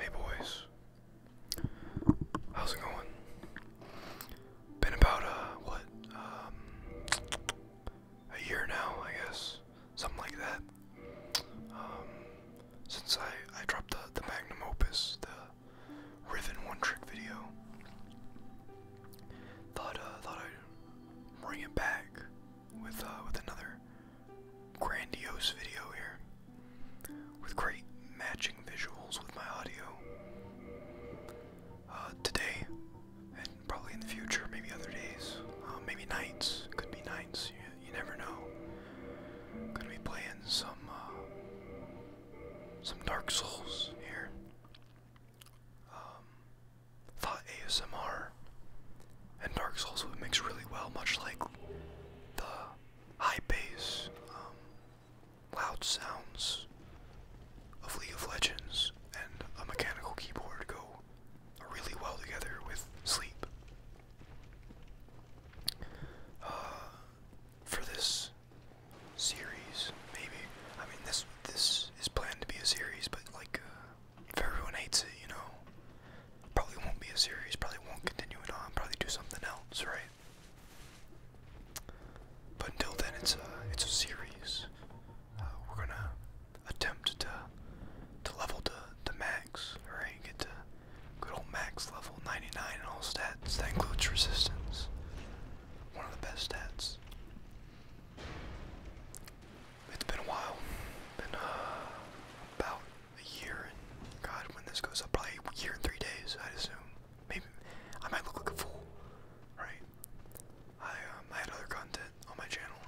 Hey boys, how's it going? Been about uh what um, a year now, I guess, something like that. Um, since I I dropped the the magnum opus, the Riven one trick video. Thought uh, thought I'd bring it back with uh, with another grandiose video here with great matching visuals with my audio. Uh, today and probably in the future, maybe other days, uh, maybe nights. Could be nights. You, never know. Gonna be playing some some Dark Souls here um, thought ASMR and Dark Souls would mix really well, much like the high bass, um, loud sounds of League of Legends and a mechanical keyboard go really well together with sleep. Uh, for this series, maybe. I mean, this this is planned to be a series, but like, uh, if everyone hates it, you know, probably won't be a series. Probably won't continue it on. Probably do something else, right? But until then, it's a it's a series. Uh, we're gonna attempt to to level to to max, right? Get to good old max level 99 in all stats. That includes resistance. One of the best stats. It's been a while. Been uh, about a year God, when this goes up, probably a year and three days, I'd assume. Maybe I might look like a fool, right? I um, I had other content on my channel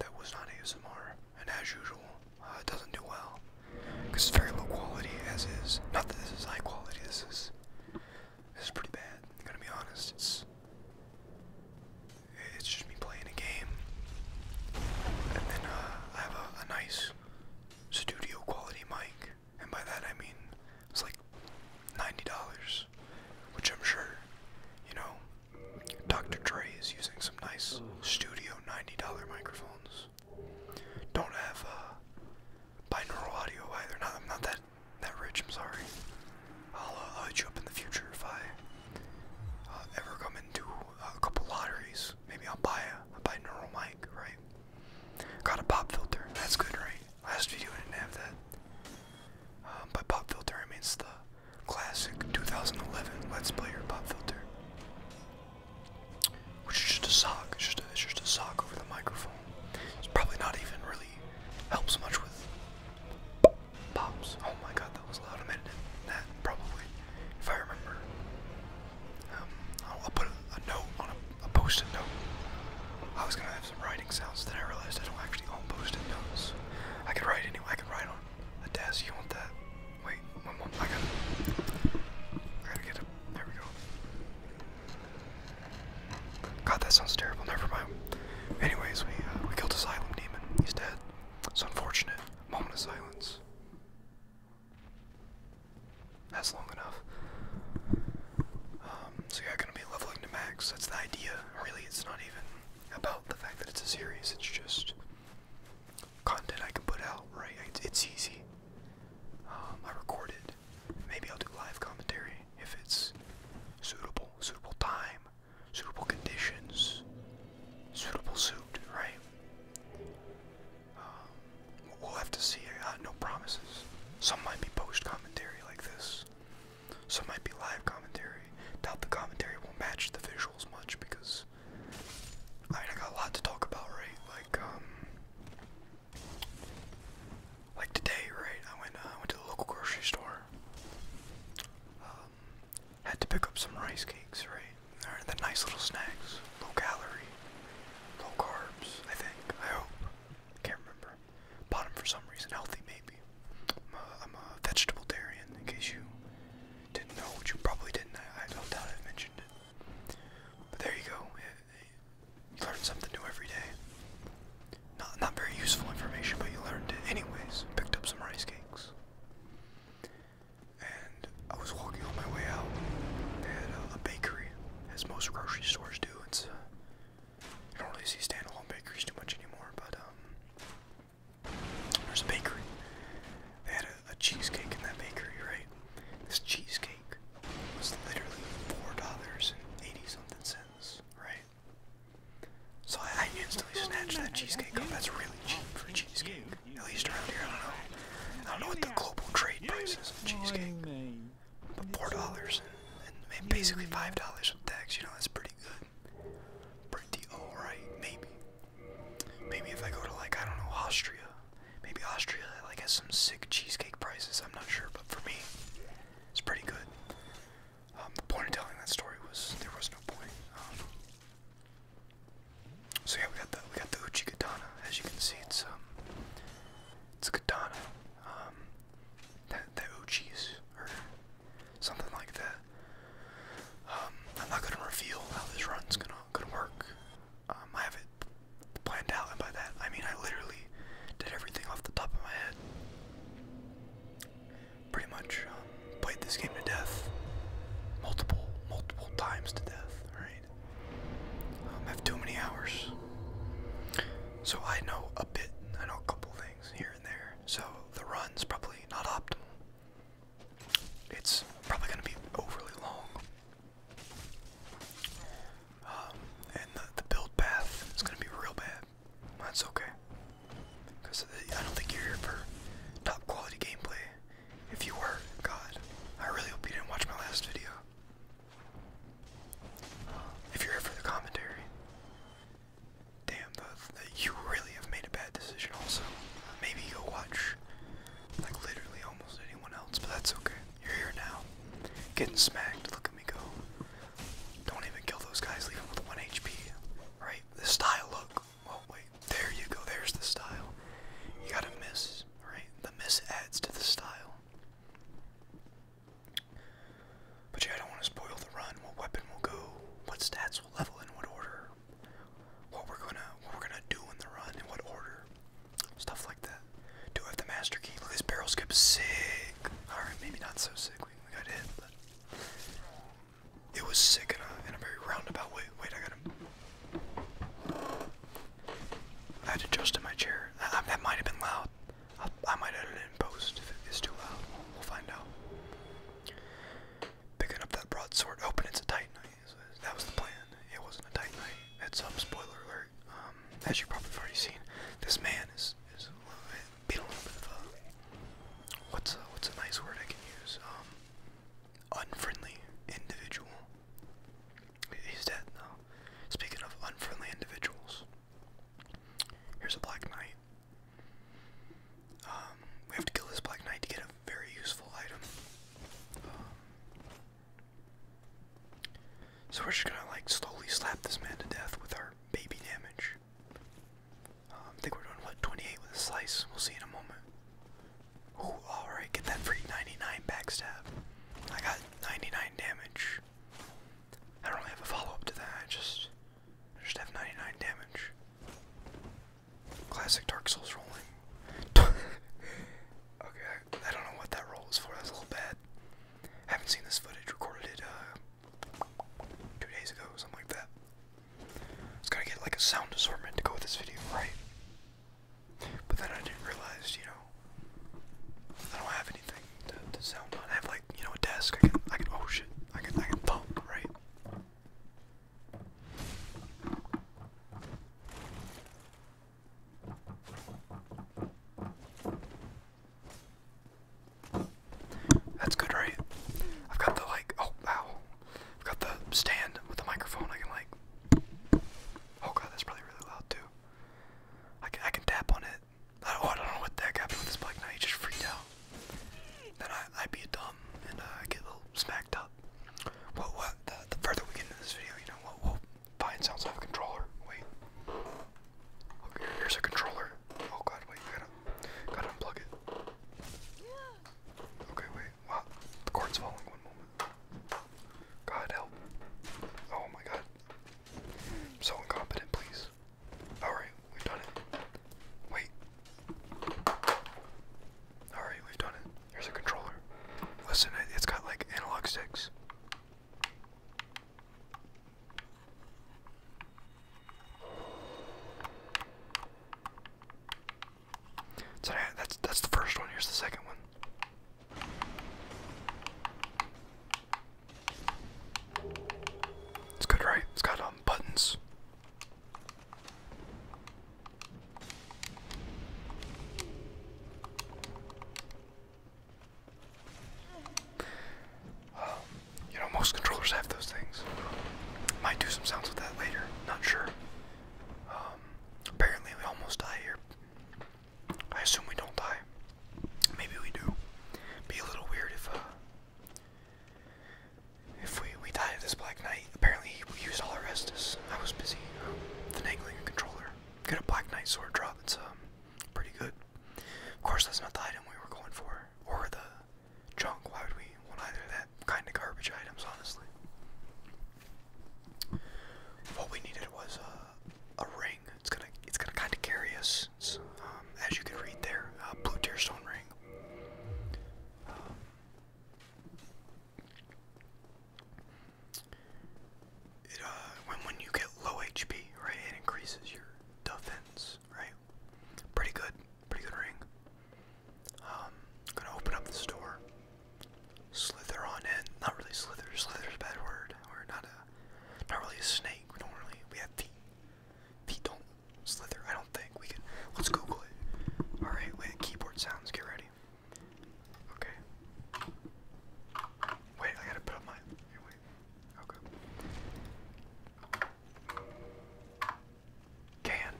that was not ASMR, and as usual, uh, doesn't do well because it's very low quality as is. Not that this is high quality. This is it's pretty bad. I'm gonna be honest. It's it's just me playing a game, and then uh, I have a, nice studio quality mic, and by that I mean it's like ninety dollars, which I'm sure, you know, Dr. Dre is using some nice studio ninety dollar microphones. Don't have a uh, binaural audio either. Not, I'm not that that rich. I'm sorry. Uh, I'll, hit you up in the future if I uh, ever come into uh, a couple lotteries. Maybe I'll buy a buy neural mic, right? Got a pop filter. That's good, right? Last video I didn't have that. Um, by pop filter I mean it's the classic 2011 Let's Play Your pop filter, which is just a sock. It's just a, it's just a sock over the microphone. It's probably not even really Helps much with pops. Oh my god, that was loud. I meant that probably, if I remember. Um, I'll, put a, note on a, post-it note. I was gonna have some writing sounds, then I realized I don't actually own post-it notes. I could write anywhere. I could write on a desk. You want that? Wait, one more. I gotta. get a. There we go. God, that sounds terrible. Never mind. Anyways, we uh, we killed Asylum Demon. He's dead. It's unfortunate. Moment of silence. That's long enough. Um, so yeah, gonna be leveling to max. That's the idea. Really, it's not even about the fact that it's a series. It's just content I can put out. Right? It's, easy. Um, I record it Maybe I'll do live commentary if it's suitable, suitable time, suitable conditions, suitable suit, right? Um, we'll have to see. Uh, no promises. Some might be post commentary like this. Some might be live commentary. Doubt the commentary will match the visuals much because I, mean, I got a lot to talk about, right? Like, um, like today, right? I went uh, I went to the local grocery store. Um, had to pick up some rice cakes, right? They're the nice little snacks, low calorie, low carbs. I think. I hope. Can't remember. Bought them for some reason. Healthy, maybe. I'm a, I'm a vegetable-tarian. In case you didn't know, which you probably didn't. I, I doubt I mentioned it. But there you go. You learn something new every day. Not not very useful information, but you learned it anyways. Picked up some rice cakes. And I was walking on my way out. They had a, bakery, as most grocery stores do. It's uh, I don't really see standalone bakeries too much anymore, but um, there's a bakery. They had a cheesecake in that bakery, right? This cheesecake was literally four dollars and eighty something cents right? So I, instantly snatched that cheesecake up. That's really cheap for cheesecake. At least around here, I don't know. I don't know what the global trade prices of cheesecake. But four dollars and, and basically five dollars with tax, you know, that's pretty good. Pretty alright, maybe. Maybe if I go to like I don't know, Austria. Maybe Austria like has some sick cheesecake prices, I'm not sure, but for me, it's pretty good. Um, the point of telling that story was there was no point. Um, so yeah, we got the we got the Uchi katana. As you can see, it's um, it's a Um, that that Uchis or something like that. Um, I'm not gonna reveal how this run's gonna gonna work. I have it planned out, and by that I mean I literally did everything off the top of my head. Pretty much um, played this game to death, multiple, multiple times to death. Right? Um, have too many hours, so I know a bit. I know a couple things here and there. So the run's probably not optimal. It's probably going to be overly long and the, the build path is going to be real bad. That's okay. Because uh, I don't think you're here for top quality gameplay. If you were, God, I really hope you didn't watch my last video. If you're here for the commentary, damn, the, you really have made a bad decision also. Maybe you'll watch, like, literally almost anyone else, but that's okay. You're here now. Getting smacked. Look at me go. Don't even kill those guys. Leave them with 1 HP. Right? The style look. Oh, wait. There you go. There's the style. You gotta miss. Right? The miss adds to the style. But yeah, I don't want to spoil the run. What weapon will go? What stats will level? In what order? What we're gonna what we're gonna do in the run? and what order? Stuff like that. Do I have the master key? Look, this barrel skip sick. Alright, maybe not so sick. We, got hit, but it was sick in a, very roundabout way. Wait, I got him. I had to adjust in my chair. That, might have been loud. I, might edit it in post if it is too loud. We'll find out. Picking up that broadsword. Open. It's a tight knife. That was the plan. It wasn't a tight knife. It's some um, spoiler alert. Um, as you've probably already seen, this man is is a bit, being a little bit of a what's a, what's a nice word I can use? Um, unfriendly individual. He's dead now. Speaking of unfriendly individuals, here's a black knight. Um, we have to kill this black knight to get a very useful item. Um, so we're just gonna like slowly slap this man to death with our baby damage. Um, I think we're doing what 28 with a slice. We'll see in a moment. all right, get that free 99 backstab. I got 99 damage. I don't really have a follow-up to that. just, just have 99 damage. Classic Dark Souls rolling. okay, I don't know what that roll was for. That's a little bad. I Haven't seen this footage. Recorded it uh, two days ago, something like that. It's gotta get like a sound assortment to go with this video, right? But then I didn't realize, you know, I don't have anything to, sound on. I have like, you know, a desk. I can, I can, oh shit, I can, I can pump, right? That's good, right? I've got the like, oh, wow! I've got the stand with the microphone. I can like, oh god, that's probably really loud too. I can, I can tap on it. I, oh, I don't know what the heck happened with this bike now. He just freaked out. Then I, I be a dumb and uh, I get a little smacked up. Well, what, the, further we get into this video, you know, what? will Fine, sounds like a controller. Wait. Okay, here's a controller. Oh god, wait, gotta, gotta unplug it. Okay, wait. Wow, the cord's falling. One moment. God help. Oh my god. so incompetent, please. Alright, we've done it. Wait. Alright, we've done it. Here's a controller. Listen, it's got like analog sticks. So that's that's the first one. Here's the second one. It's good, right? It's got um, buttons you know, most controllers have those things. Might do some sounds with that later. Not sure. Um, apparently, we almost die here. I assume we don't die. Maybe we do. Be a little weird if uh, if we we die at this Black Knight. Apparently, we used all our Estus. I was busy um, finagling a controller. Get a Black Knight sword drop. It's um pretty good. Of course, that's not the item we were going for, or the junk. Why would we want either of that kind of garbage items, honestly? What we needed was a, ring. It's gonna, it's gonna kind of carry us. Um, as you can read there, a blue tearstone ring. Um, it, uh, when when you get low HP, right, it increases your defense, right? Pretty good, pretty good ring. Um, gonna open up this door. Slither on in. Not really slither. Slither's a bad word. we not a, not really a snake. We don't really. We have feet. Feet don't slither. I don't think we can. Let's Google it. All right. Wait. Keyboard sounds. Get ready. Okay. Wait. I gotta put up my. Okay. Can.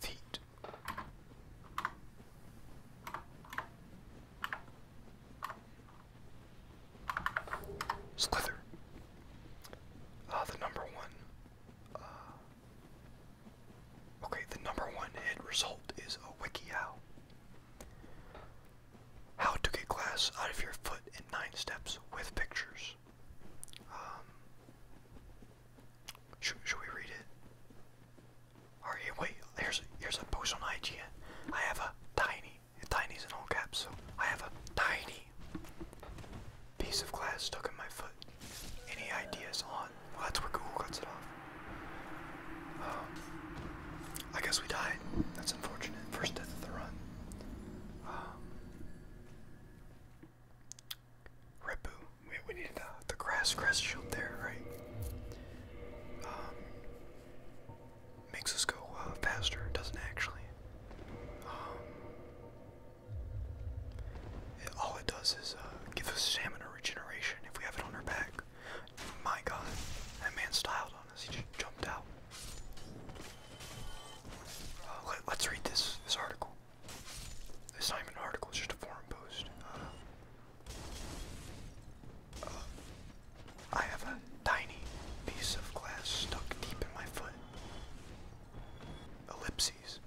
Feet. Slither. Ah, the number one. Uh, Okay, the number one hit result is a WikiHow. How to get glass out of your foot in nine steps with pictures. Um, should, should we read it? All right, wait. Here's here's a post on IGN. I have a tiny. Tiny's in all caps, so I have a tiny piece of glass stuck in my foot. Any ideas on well, that's where Google cuts it off. Um, I guess we died. That's unfortunate. First death of the run. Um, Repu. We, needed the, the grass grass shield there, right? Um, makes us go uh, faster. Doesn't actually. all it does is uh, give us stamina regeneration if we have it on our back. My god, that man styled on us. He just jumped out. Uh, let, us read this this article. This not an article, is just a forum post. Uh, uh, I have a tiny piece of glass stuck deep in my foot. Ellipses.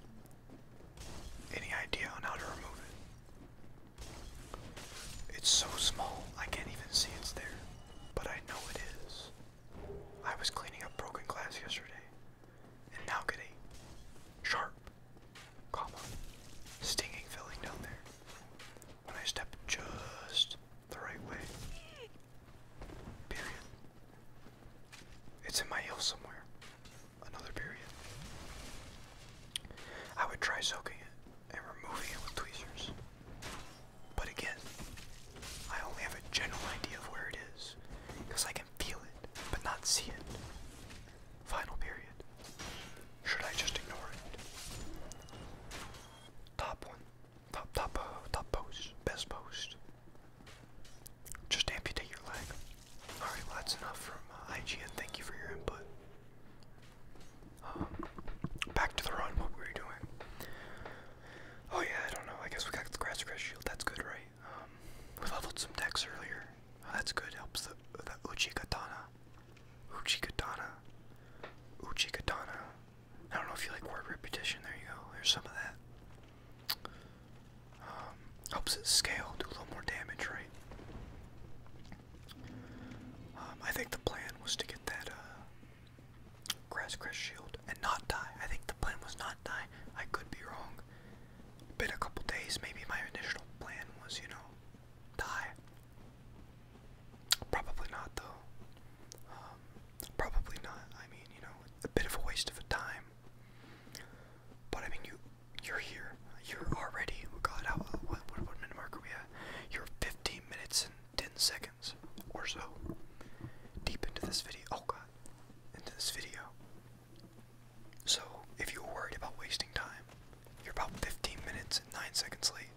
Any idea on how to remove it? It's so small, I can't even see it's there, but I know it is. I was cleaning up broken glass yesterday, and now get a sharp, comma, stinging feeling down there when I step just the right way. Period. It's in my heel somewhere another period. I would try soaking it and removing it with tweezers. But again, I only have a general idea of where it is, because I can feel it, but not see it. Final period. Should I just ignore it? Top one. Top, top, uh, top post. Best post. Just amputate your leg. Alright, that's enough from uh, IGN. Thank you for your input back to the run, what were we doing? Oh yeah, I don't know. I guess we got the grass grass shield. That's good, right? Um, we leveled some decks earlier. Oh, that's good. Helps the Uchi Katana. Uchi Katana. Uchi Katana. I don't know if you like word repetition. There you go. There's some of that. Um, helps it scale, do a little more damage, right? Um, I think the plan was to get that uh, grass crest shield and not die. I think the plan was not die. I could be wrong. Been a couple days. Maybe my initial plan was, you know, die. Probably not though. Um, probably not. I mean, you know, a bit of a waste of a time. But I mean, you you're here. You're already. Oh God, how, what, what, what minute mark are we at? You're 15 minutes and 10 seconds or so deep into this video. Oh God, into this video. So if you're worried about wasting time, you're about 15 minutes and 9 seconds late.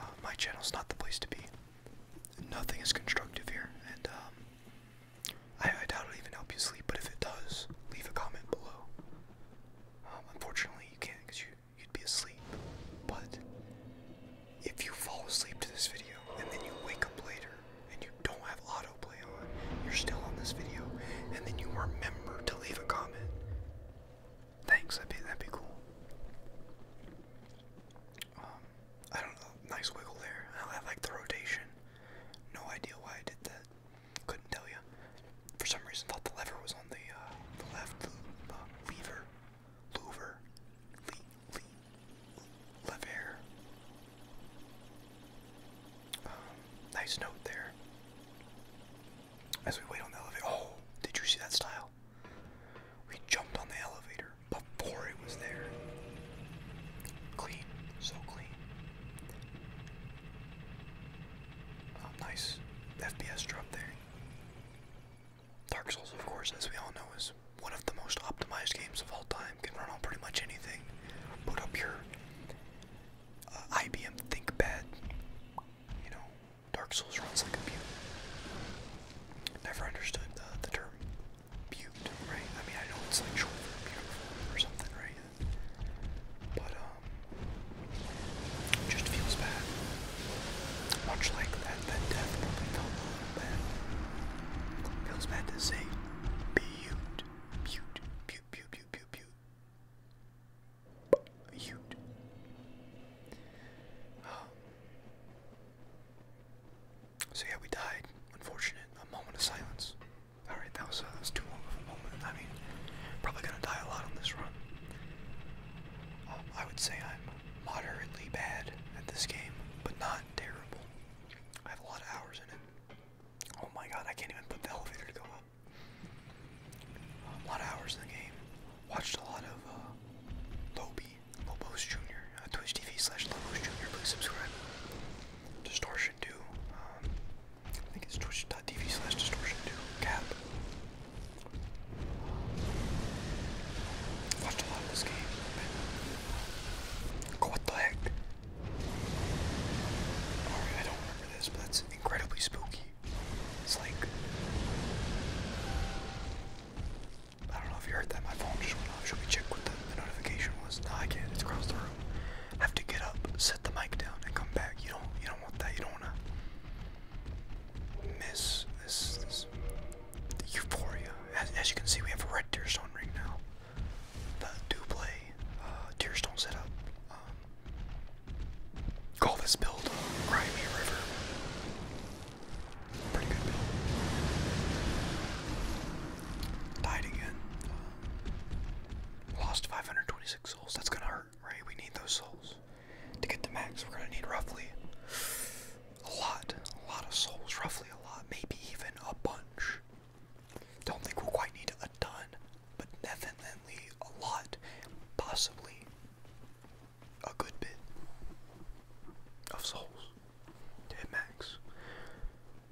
Uh, my channel's not the place to be. Nothing is constructive here, and um, I, I doubt it'll even help you sleep. But if it does, leave a comment below. Um, unfortunately, you can't because you, you'd be asleep. But if you fall asleep to this video and then you wake up later and you don't have autoplay on, you're still on this video, and then you remember to leave a comment. Thanks, that'd be, that'd be cool. Um, I don't know, nice wiggle there. I like the rotation. No idea why I did that. Couldn't tell you. For some reason, thought the lever was on the, uh, the left. Uh, lever, louver, le, le, lever. Um, nice note there. As we wait on the elevator. Oh, did you see that style? We jumped on the elevator before it was there. Clean, so clean. Oh, nice FPS drop there. Dark Souls, of course, as we all know, is one of the most optimized games of all time. Can run on pretty much anything. Put up your uh, IBM ThinkPad. You know, Dark Souls runs like a beaut. Never understood the, term beaut, right? I mean, I know it's like short for beautiful or something, right? But um just feels bad. Much like that that death probably felt bad. Feels bad to say beaut, beaut, beaut, beaut, beaut, beaut, beaut. Beaut. Um, so yeah, we died. Unfortunate. A moment of silence. Alright, uh, that was, too long of a moment. I mean, probably gonna die a lot on this run. Um, I would say I'm moderately bad at this game, but not terrible. I have a lot of hours in it. Oh my god, I can't even put the elevator to go up. Um, a lot of hours in the game. Watched a lot of uh, Lobos Jr., uh, Twitch TV slash Lobos Jr. Please subscribe. Distortion 2. Um, I think it's twitch.tv slash distortion 2 Cap. watched a lot of this game. What the heck? I don't remember this, but that's incredibly spooky. It's like. I don't know if you heard that. My phone just went off. Should we check what the, notification was? No, I can't. It's across the room. have to get up, set the mic down, and come back. You don't. You don't as, you can see, we have a red Tearstone ring now. The Duplay uh, setup. Um, call this build Grimy River. Pretty good build. Died again. Um, lost 526 souls. That's gonna hurt right? We need those souls. To get the max, we're gonna need roughly a lot, a lot of souls, roughly a lot, maybe even a bunch. Don't think we'll quite need a ton, but definitely a lot, possibly a good bit of souls to hit max.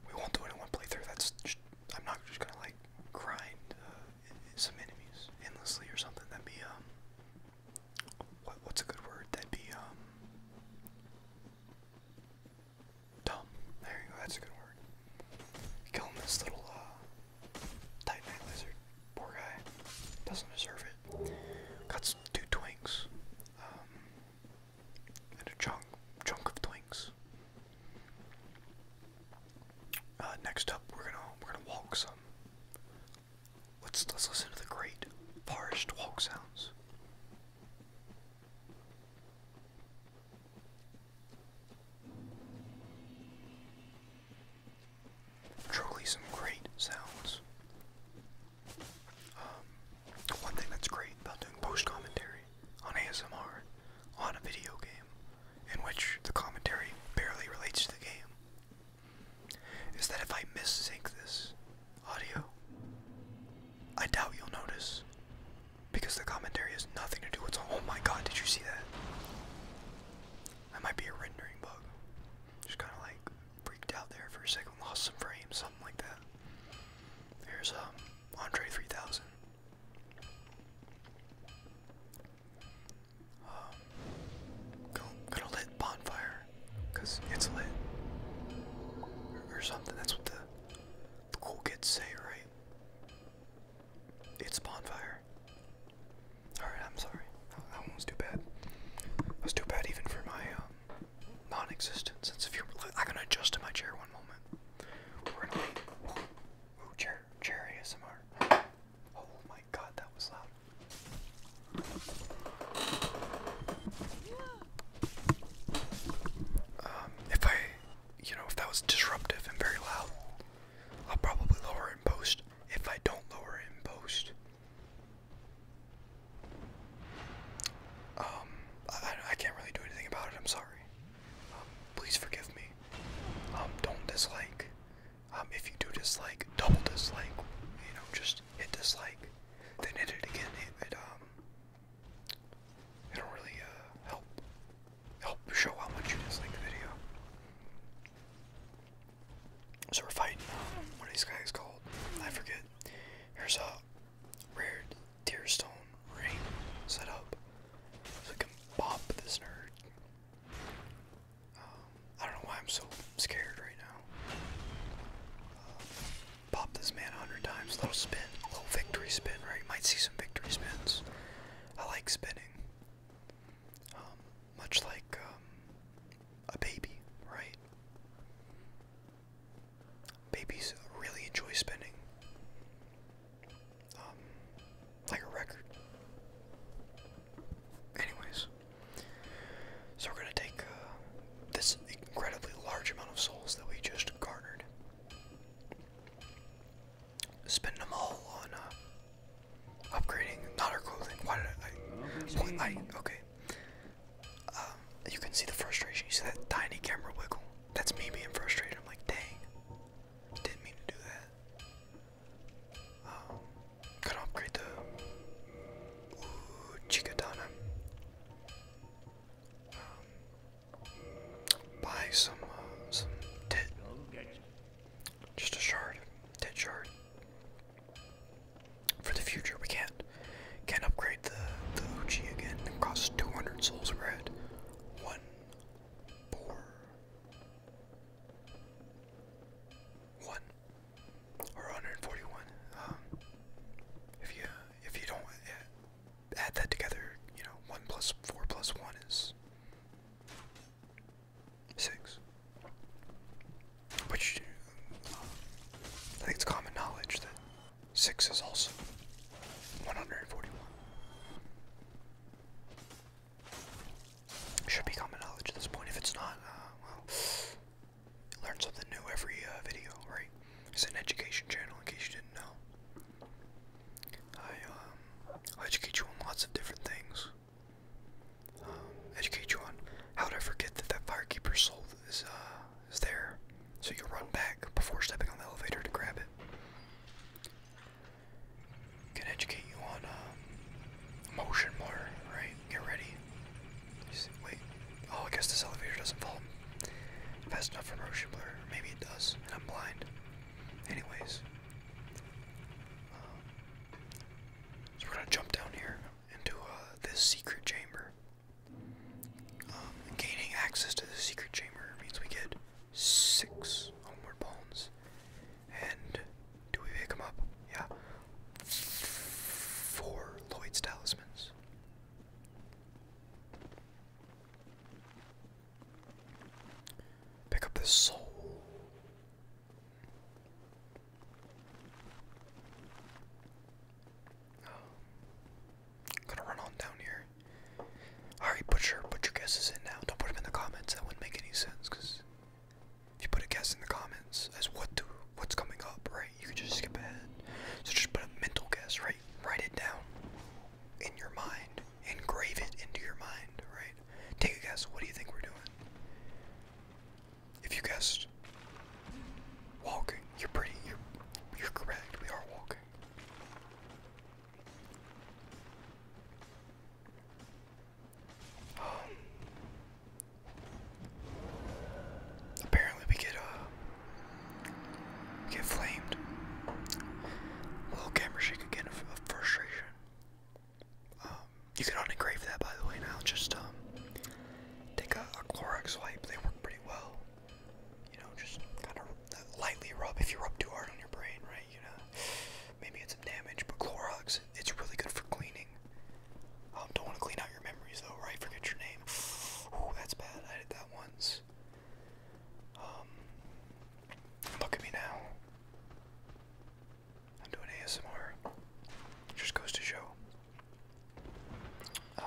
We won't do it in one playthrough. That's just, I'm not just gonna like grind uh, some enemies endlessly or something. That'd be um. What, what's a good word? That'd be um. Dumb. There you go. That's a good word. Killing this little uh, titanite lizard. Poor guy. Doesn't deserve it. Cuts two twinks. Um, and a chunk, chunk of twinks. Uh, next up, we're gonna we're gonna walk some. Let's let's listen to the great forest walk sounds. Truly some great sounds. Um, one thing that's great about doing post commentary on ASMR on a video game in which the commentary barely relates to the game, is that if I mis-sync this audio, I doubt you'll notice. Because the commentary has nothing to do with oh my god, did you see that? That might be a rendering bug. Just kinda like freaked out there for a second, lost some frames, something like that. Here's um Andre 3000. Um, go, to lit bonfire, cause it's lit, or, something. That's what the, the cool kids say, right? It's bonfire. All right, I'm sorry. That one was too bad. was too bad even for my um, non-existent sense of I can adjust to my chair one moment. chair chair. Chair ASMR. Oh my god, that was loud. Um, if I, you know, if that was disruptive and very loud, I'll probably lower it in post. If I don't lower it in post, um, I can't really do anything about it. I'm sorry please forgive me. Um, don't dislike. Um, if you do dislike, double dislike. You know, just hit dislike, then hit it again. It, it um, it'll really uh, help help show how much you dislike the video. So we're fighting um, what these guys called. I forget. Here's a rare Tearstone ring set up. So we can pop this nerd. Um, I don't know why I'm so scared right now. Uh, pop this man a hundred times. Little spin, little victory spin, right? might see some victory spins. I like spinning. Um, much like um, a baby, right? Babies really enjoy spinning um, like a record. Anyways, so we're gonna take uh, this incredibly large amount of souls that we just garnered, spend them all on uh, upgrading not our clothing. Why did I? okay. Um, you can see the frustration. You see that tiny camera wiggle. That's me being frustrated. I'm like, dang, didn't mean to do that. Um, gonna upgrade the ooh, Chikadana. Um, buy some uh, some tit. Just a shard, tit shard. For the future, we can't can upgrade the the Uchi again. It costs 200 souls. we one four one or 141. Um, if you if you don't eh, add that together, you know, one plus four plus one is six. Which um, I think it's common knowledge that six is also 141. Should be common knowledge at this point. If it's not, uh, well, learn something new every uh, video, right? It's an education channel, in case you didn't know. I will um, educate you on lots of different things. Um, educate you on how to forget that that firekeeper's soul is uh, is there, so you run back before stepping on the elevator to grab it can educate you on um, motion blur, right? Get ready. wait. Oh, I guess this elevator doesn't fall fast enough for motion blur. Maybe it does, and I'm blind. Anyways. Um, so we're gonna jump down here into uh, this secret chamber. Um, gaining access to the secret chamber means we get six homeward bones. And do we pick them up? Yeah. Four Lloyd's talismans. Pick up the soul. Um, gonna run on down here. Alright, put your, put your guesses in now. Don't put them in the comments. That wouldn't make any sense, because if you put a guess in the comments as what do what's coming up, right, you could just skip ahead. So just put a mental guess, right? Write it down in your mind. Engrave it into your mind, right? Take a guess. What do you think we're doing? If you guessed walking, you're pretty, you're, you're correct. We are walking. Apparently we get uh get flamed. little camera shake again of, frustration. Um, you can unengrave that by the way now. Just um, take a, a Clorox wipe. They work pretty well. You know, just kind of lightly rub. If you rub too hard on your brain, right? You know, Maybe it's some damage, but Clorox, it's really good for cleaning. don't want to clean out your memories though, right? Forget your name. Ooh, that's bad. I did that once. Um, look at me now. I'm doing ASMR. just goes to show. Uh,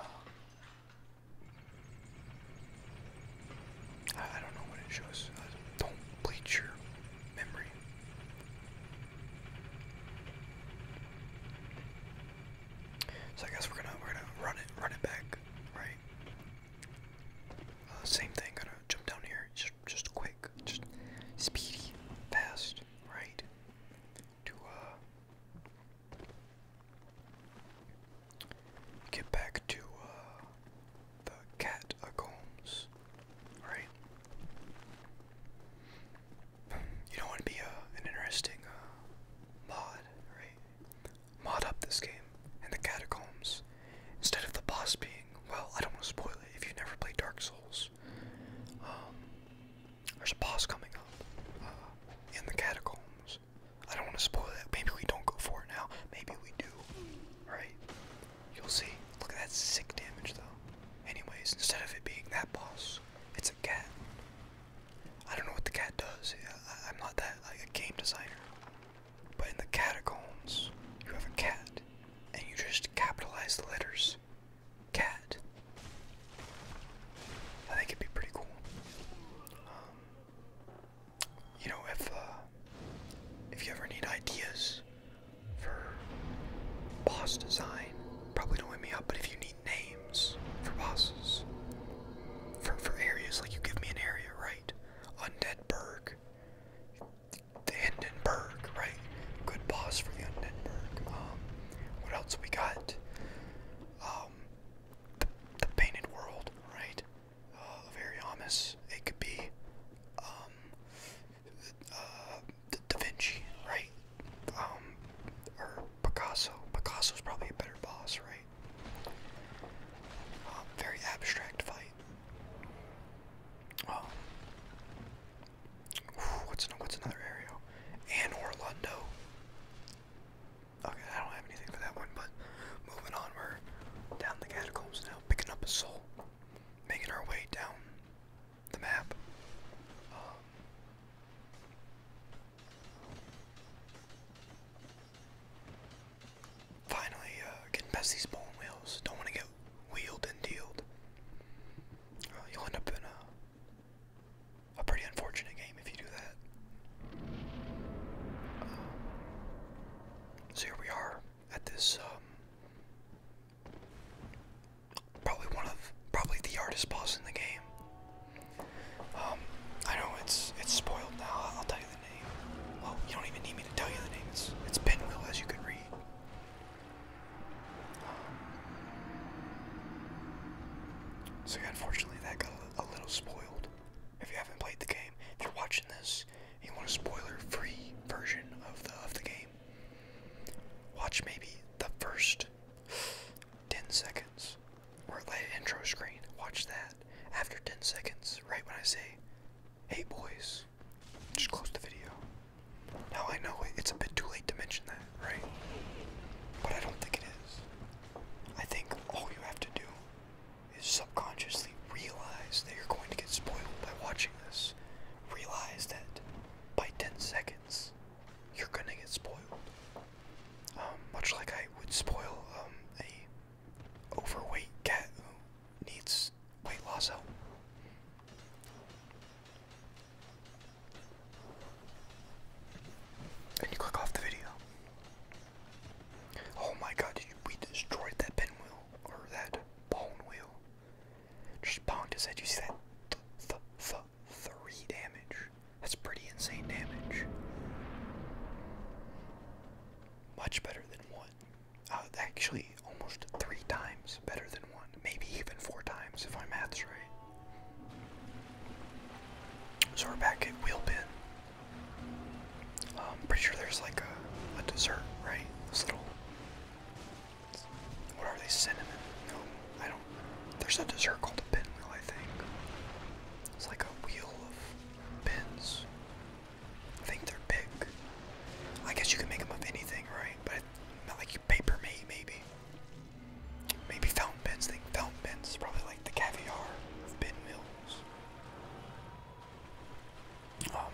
I, don't know what it shows. don't bleach your memory. So I guess we're gonna we're gonna run it run it back, right? Uh, same thing. Gonna jump down here. Just just quick, just speedy, fast, right? To uh get back to uh the catacombs, right? You don't want to be uh, an interesting uh, mod, right? Mod up this game and the catacombs. Instead of the boss being, well, I don't want to spoil it if you never play Dark Souls. Um, there's a boss coming up uh, in the catacombs. I don't want to spoil that. Maybe we don't go for it now. Maybe we do, right? You'll see. Look at that sick damage though. Anyways, instead of it being that boss, it's a cat. I don't know what the cat does. I'm not that like a game designer. But in the catacombs, you have a cat, and you just capitalize the letters. Cat. I think it'd be pretty cool. Um, you know, if uh, if you ever need ideas for boss design, probably don't hit me up. But if you need names for bosses, for for areas, like you give me an area, right? Undead Undeadburg, the Hindenburg, right? Good boss for the Hindenburg. Um, what else we got? Um, the Painted World, right? uh, oh, Averiamis. It could be um, uh, Da Vinci, right? Um, or Picasso. Picasso's probably a better boss, right? Um, very abstract fight. what's another area? And Orlando. Okay, I don't have anything for that one, but moving on, we're down the catacombs now, picking up a soul making our way down the map. Um, finally, uh, getting these bone wheels. Don't want to get wheeled and dealed. Uh, you'll end up in a, pretty unfortunate game if you do that. Um, so here we are at this um, probably one of probably the hardest boss in the game. Um, I know it's it's spoiled now. I'll tell you the name. Well, you don't even need me to tell you the name. It's it's Pinwheel, as you can read. Um, so yeah, unfortunately, that got a, a little spoiled. If you haven't played the game, if you're watching this you want a spoiler-free version of the of the game, watch maybe the first ten seconds or let intro screen. Watch that after ten seconds, right when I say, "Hey boys," just close the video. Now I know it's a bit too late to mention that, right? But I don't think it is. I think all you have to do is subconsciously realize that you're going to get spoiled by watching this. Realize that by 10 seconds, you're gonna get spoiled. Um, much like I would spoil um, a overweight cat who needs weight loss help. And you click off the video. Oh my god, did we destroyed that pinwheel or that bone wheel. Just bonk his head. You see that? Th th th three damage. That's pretty insane damage. Much better than one. Uh, actually, almost three times better than one. Maybe even four times if my math's right. So we're back at wheel Wheelpin. I'm pretty sure there's like a, dessert, right? This little. What are they? Cinnamon? No, I don't. There's a dessert called a pinwheel, I think. It's like a wheel of pins. I think they're big. I guess you can make them of anything, right? But not like you paper me, maybe. Maybe fountain pins. think fountain pins is probably like the caviar of pinwheels. Um,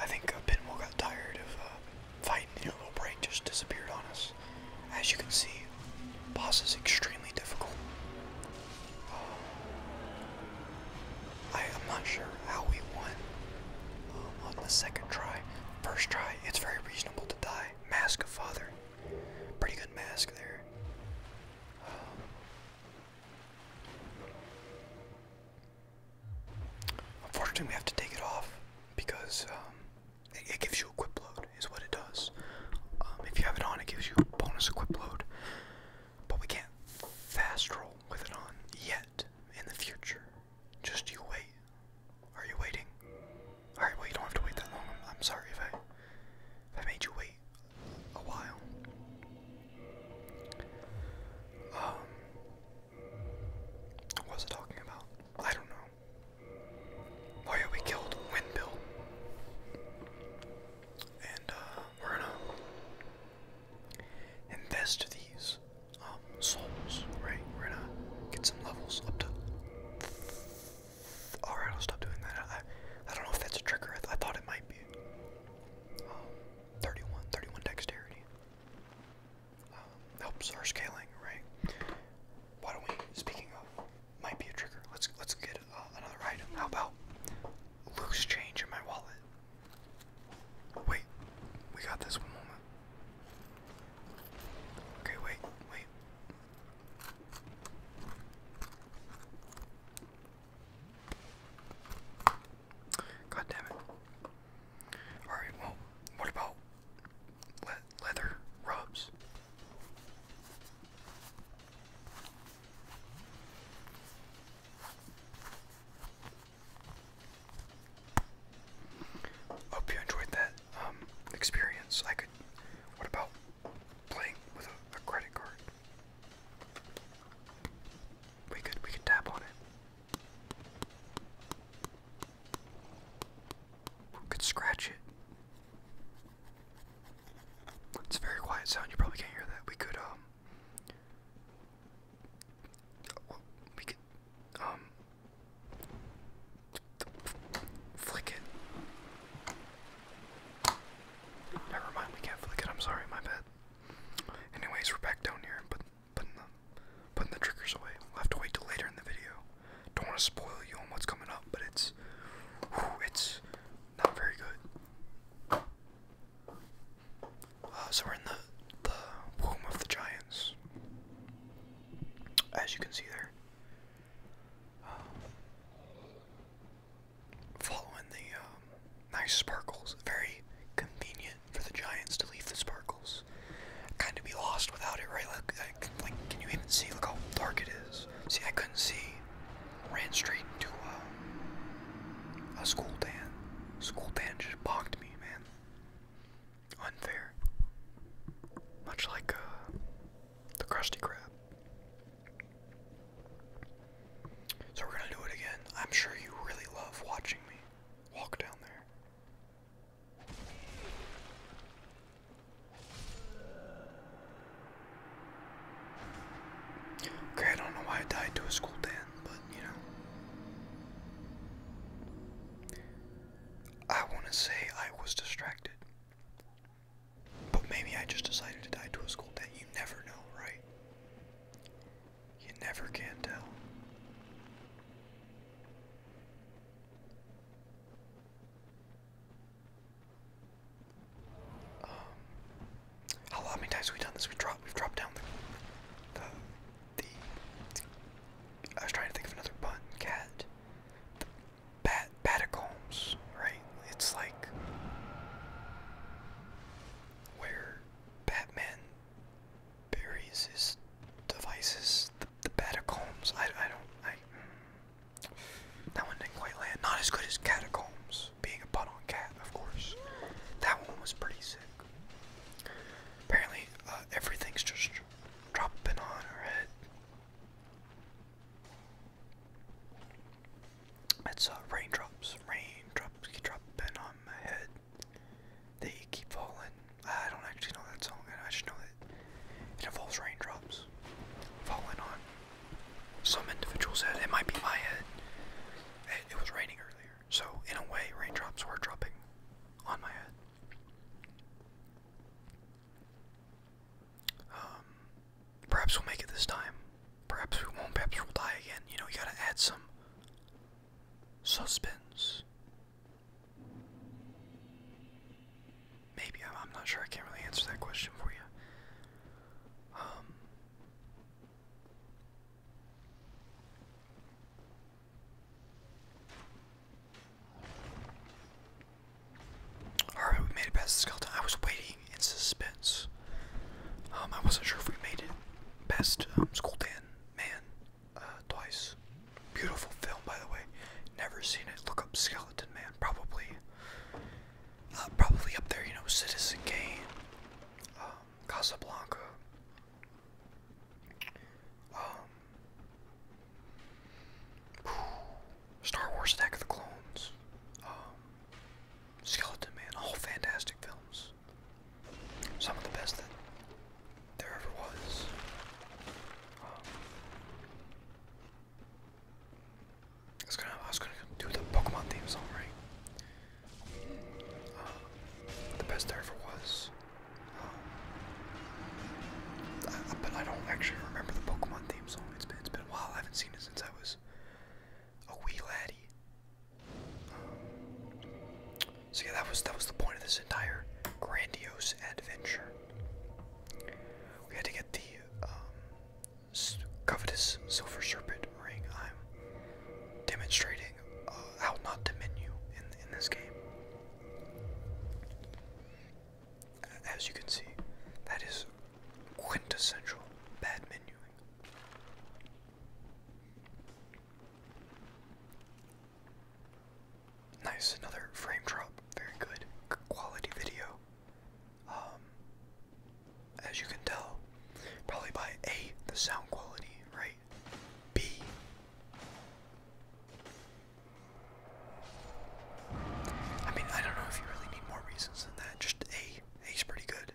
I think uh, Pinwheel got tired of uh, fighting, you little break just disappeared on us. As you can see, boss is extremely difficult. Um, I, am not sure how we won um, on the second try. First try, it's very reasonable to die. Mask of Father. Pretty good mask there. Unfortunately, we have to take it off because um, it, gives you a quip load, is what it does. Um, if you have it on, it gives you a bonus equip load, but we can't fast roll with it on yet. In the future, just you wait. Are you waiting? All right, well you don't have to wait that long. I'm, sorry if I made you wait a while. Um, what was I talking about? I don't know. Oh yeah, we killed Windbill. And uh, we're gonna invest these um, souls, right? We're gonna get some levels up to. Alright, I'll stop doing that. I, I don't know if that's a trigger. I, thought it might be. Um, 31, 31 dexterity. Um, helps our scaling, right? Why don't we? Speaking of, might be a trigger. Let's let's get uh, another item. How about loose change in my wallet? Wait, we got this one moment. Okay, wait, wait. God damn it. Alright, well, what about leather rubs? Hope you enjoyed that um, experience. I What about playing with a credit card? We could we could tap on it. We could scratch it. It's a very quiet sound. You probably can't hear that. We could um. We could um. Flick it. Never mind. We can't flick it. I'm sorry. My bad. Anyways, we're back down here and putting, the, putting the triggers away. We'll have to wait till later in the video. Don't want to spoil you on what's coming up, but it's, it's not very good. Uh, so we're in the, the womb of the giants, as you can see there following the um, nice sparkles. Very convenient for the Giants to leave the sparkles. Kind of be lost without it, right? Like, like, can you even see? Look how dark it is. See, I couldn't see. Ran straight to um, a, school van. School van just bonked me, man. Unfair. Much like uh, the crusty Krab. So we're gonna do it again. I'm sure you really love watching me walk down there. Okay, I don't know why I died to a school dan, but you know. I want to say I was distracted. But maybe I just decided to die to a school dan. You never know, right? You never can tell. Um, how many times we done this? We dropped. We've down the, the I was trying to think of another button. Cat. The bat catacombs, right? It's like where Batman buries his devices, the, the catacombs. I, I don't, I, hmm. that one didn't quite land. Not as good as catacombs, being a butt on cat, of course. That one was pretty sick. Apparently, uh, everything's just dropping on her head. It's uh, raindrops, raindrops keep dropping on my head. They keep falling. I don't actually know that song, and I just know that it involves raindrops falling on some individual's head. It might be my head. It, was raining earlier, so in a way, raindrops were dropping on my head. Um, perhaps we'll make it this time. Perhaps we won't, perhaps we'll die again. You know, you gotta add some suspense. Maybe, I'm not sure, I can't really answer that question for you. Um, Alright, we made it past the skeleton. I was waiting in suspense. Um, I wasn't sure if we made it. Best um, School Dan Man uh, twice. Beautiful film, by the way. Never seen it. Look up Skeleton Man. Probably, uh, probably up there. You know, Citizen Kane, um, Casablanca. Um, Star Wars: Attack of the Clones. Skeleton Man, all fantastic films. Some of the best that there ever was. Um, I was gonna, do the Pokemon theme song, right? Um, the best there ever was. Um, but I don't actually remember the Pokemon theme song. It's been, it's been a while. I haven't seen it since I was a wee laddie. so yeah, that was that was the point of this entire grandiose adventure. We had to get the um, covetous silver serpent ring. I'm demonstrating uh, how not to menu in in this game. As you can see, that is quintessential bad menuing. Nice, another frame drop. Very good quality video. Um, as you can tell, probably by A, the sound quality, right? B, I mean, I don't know if you really need more reasons than that. Just A, A's pretty good.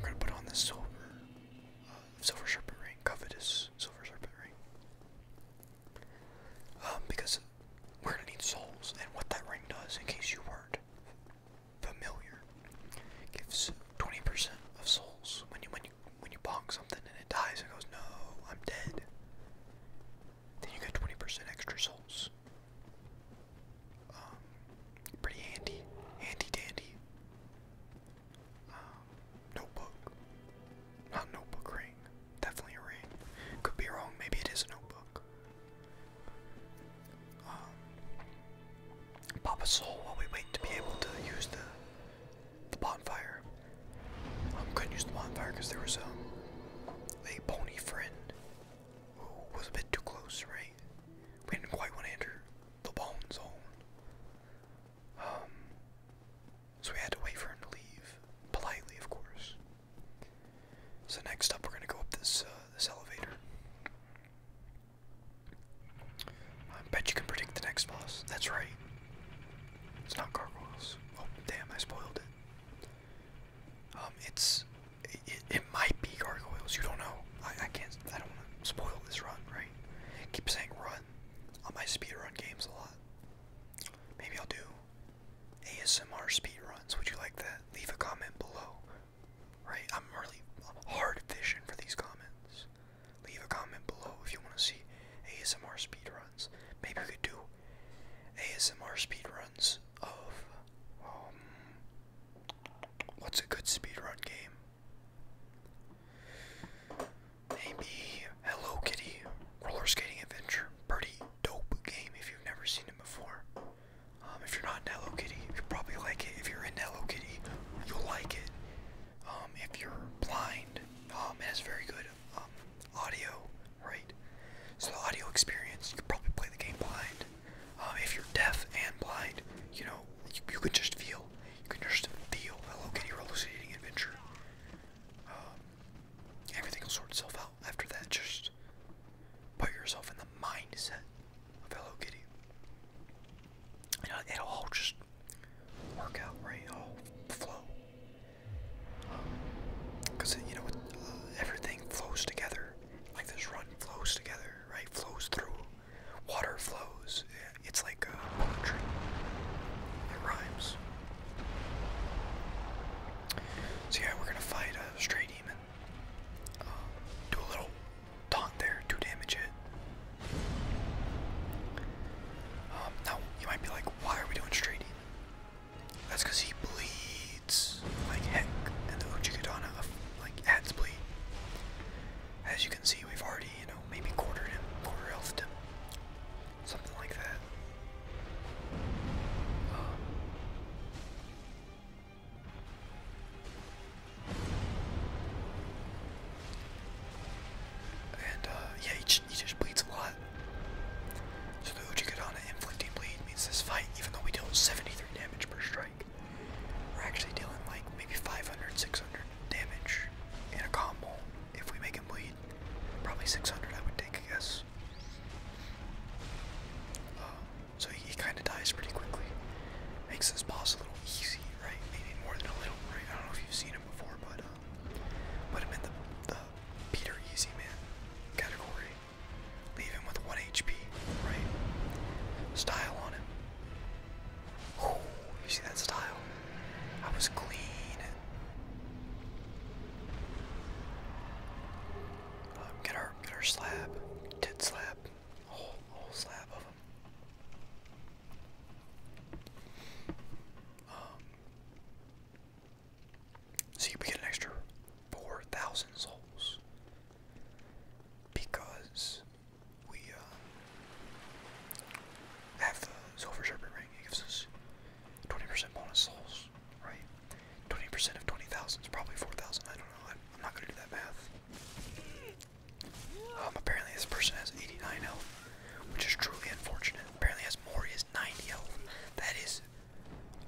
We're gonna put on this silver, um, silver serpent ring, covetous silver serpent ring. Um, because we're gonna need souls, and what that ring does, in case you weren't familiar, gives 20% of souls when you when you when you bonk something and it dies and goes no, I'm dead. Then you get 20% extra souls. Um, pretty handy, handy dandy. Um, notebook, not notebook ring, definitely a ring. Could be wrong, maybe it is a notebook. Um, pop a soul while we wait to be able to use the the bonfire. Um, couldn't use the bonfire because there was a pony friend Ooh, was a bit too close, right? We didn't quite want to enter the bone zone. Um, so we had to wait for him to leave, politely, of course. So next up, we're gonna go up this uh, this elevator. I bet you can predict the next boss. That's right. It's not gargoyles. Oh, damn! I spoiled it. Um, it's it, might be gargoyles. You don't know. I, can't. I don't want to spoil this run, right? keep saying run on my speed run games a lot. Maybe I'll do ASMR speed runs. Would you like that? Leave a comment below. Right? I'm really hard fishing for these comments. Leave a comment below if you want to see ASMR speed runs. Maybe we could do ASMR speed runs. Um, what's a good speedrun game? Maybe Hello Kitty Roller Skating Adventure. Pretty dope game if you've never seen it before. Um, if you're not in Hello Kitty, you will probably like it. If you're in Hello Kitty, you'll like it. Um, if you're blind, um, it has very good audio right? So the audio experience, you could probably play the game blind. Um, if you're deaf and blind, you know, you, you could just feel. You could just feel Hello Kitty Hallucinating Adventure. Um, everything will sort itself out after that. Just put yourself in the mindset of Hello Kitty. it'll all just work out, right? It'll flow. Because, um, you know, uh, everything flows together. Like this run flows together, right? Flows through. Water flows. It's like uh, poetry. It rhymes. So yeah, we're gonna fight a stray demon. Um, do a little taunt there, two damage hit. Um, now you might be like, why are we doing stray that's because he bleeds like heck, and the Uchigatana uh, like adds bleed. As you can see, we've already, you know, maybe quartered him, quarter healthed him, something like that. and uh, yeah, he, just bleeds a lot with inflicting bleed means this fight, even though we deal 73 damage per strike, we're actually dealing like maybe 500, 600 damage in a combo if we make him bleed. Probably 600, I would take, I guess. Uh, so he, kind of dies pretty quickly. Makes this boss a little easy, right? Maybe more than a little, I don't know if you've seen him before, but uh, put him in the Peter Easy Man category. Leave him with 1 HP, right? Style on him. you see that style? I was clean. Um, get our get our slab. Tit slab. Whole whole slab of him. Um so you get an extra 4,000 souls. Because we uh, have the Silver Serpent Ring. It gives us 20% bonus souls, right? 20% of 20,000 is probably 4,000. I don't know. I'm, not going to do that math. Um, apparently this person has 89 health, which is truly unfortunate. Apparently has more, he has 90 health. That is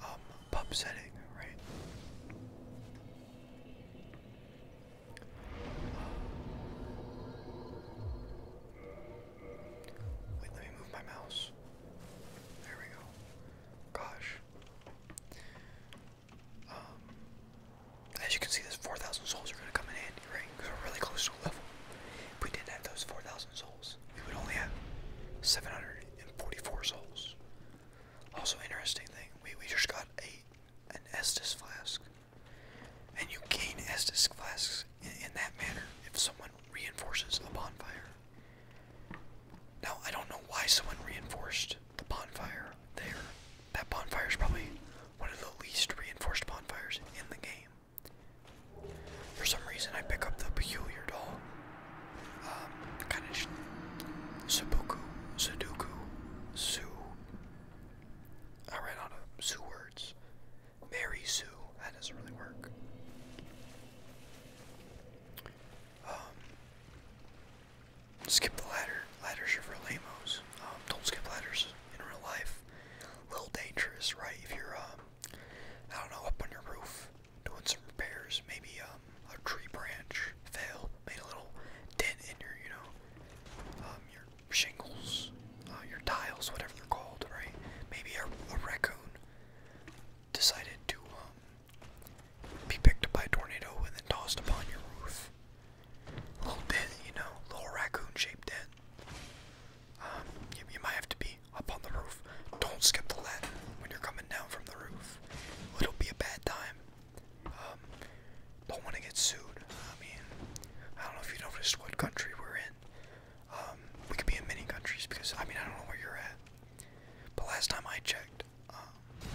um, pub setting, right? Um, wait, let me move my mouse. There we go. Gosh. Um, as you can see, this 4,000 souls are going to come in handy, right? we're really close to a level. If we didn't have those 4,000 souls, we would only have 744 souls. Also, interesting thing, we, we just got a an Estus flask. And you gain Estus flasks in, in that manner if someone reinforces a bonfire. Now, I don't know why someone reinforced the bonfire there. That bonfire is probably one of the least reinforced bonfires in the game. For some reason, I pick up the peculiar doll um, kind of Sudoku, Sudoku, Sue. I ran out of Sue words. Mary Sue, that doesn't really work. Um, skip the ladder. Ladders are for lamos. Um, don't skip ladders in real life. A little dangerous, right? If you're, um, I don't know, up on your roof doing some repairs, maybe um, a tree branch fell, made a little dent in your, you know, um, your shingles, uh, your tiles, whatever they're called, right? Maybe a, raccoon decided to um, be picked up by a tornado and then tossed upon your roof. A little dent, you know, little raccoon-shaped dent. you might have to be up on the roof. Don't skip the ladder when you're coming down from the roof. It'll be a bad time. Um, don't want to get sued. I mean, I don't know if you noticed what country we're in. Um, we could be in many countries because, I mean, I don't know where you're at. But last time I checked, um,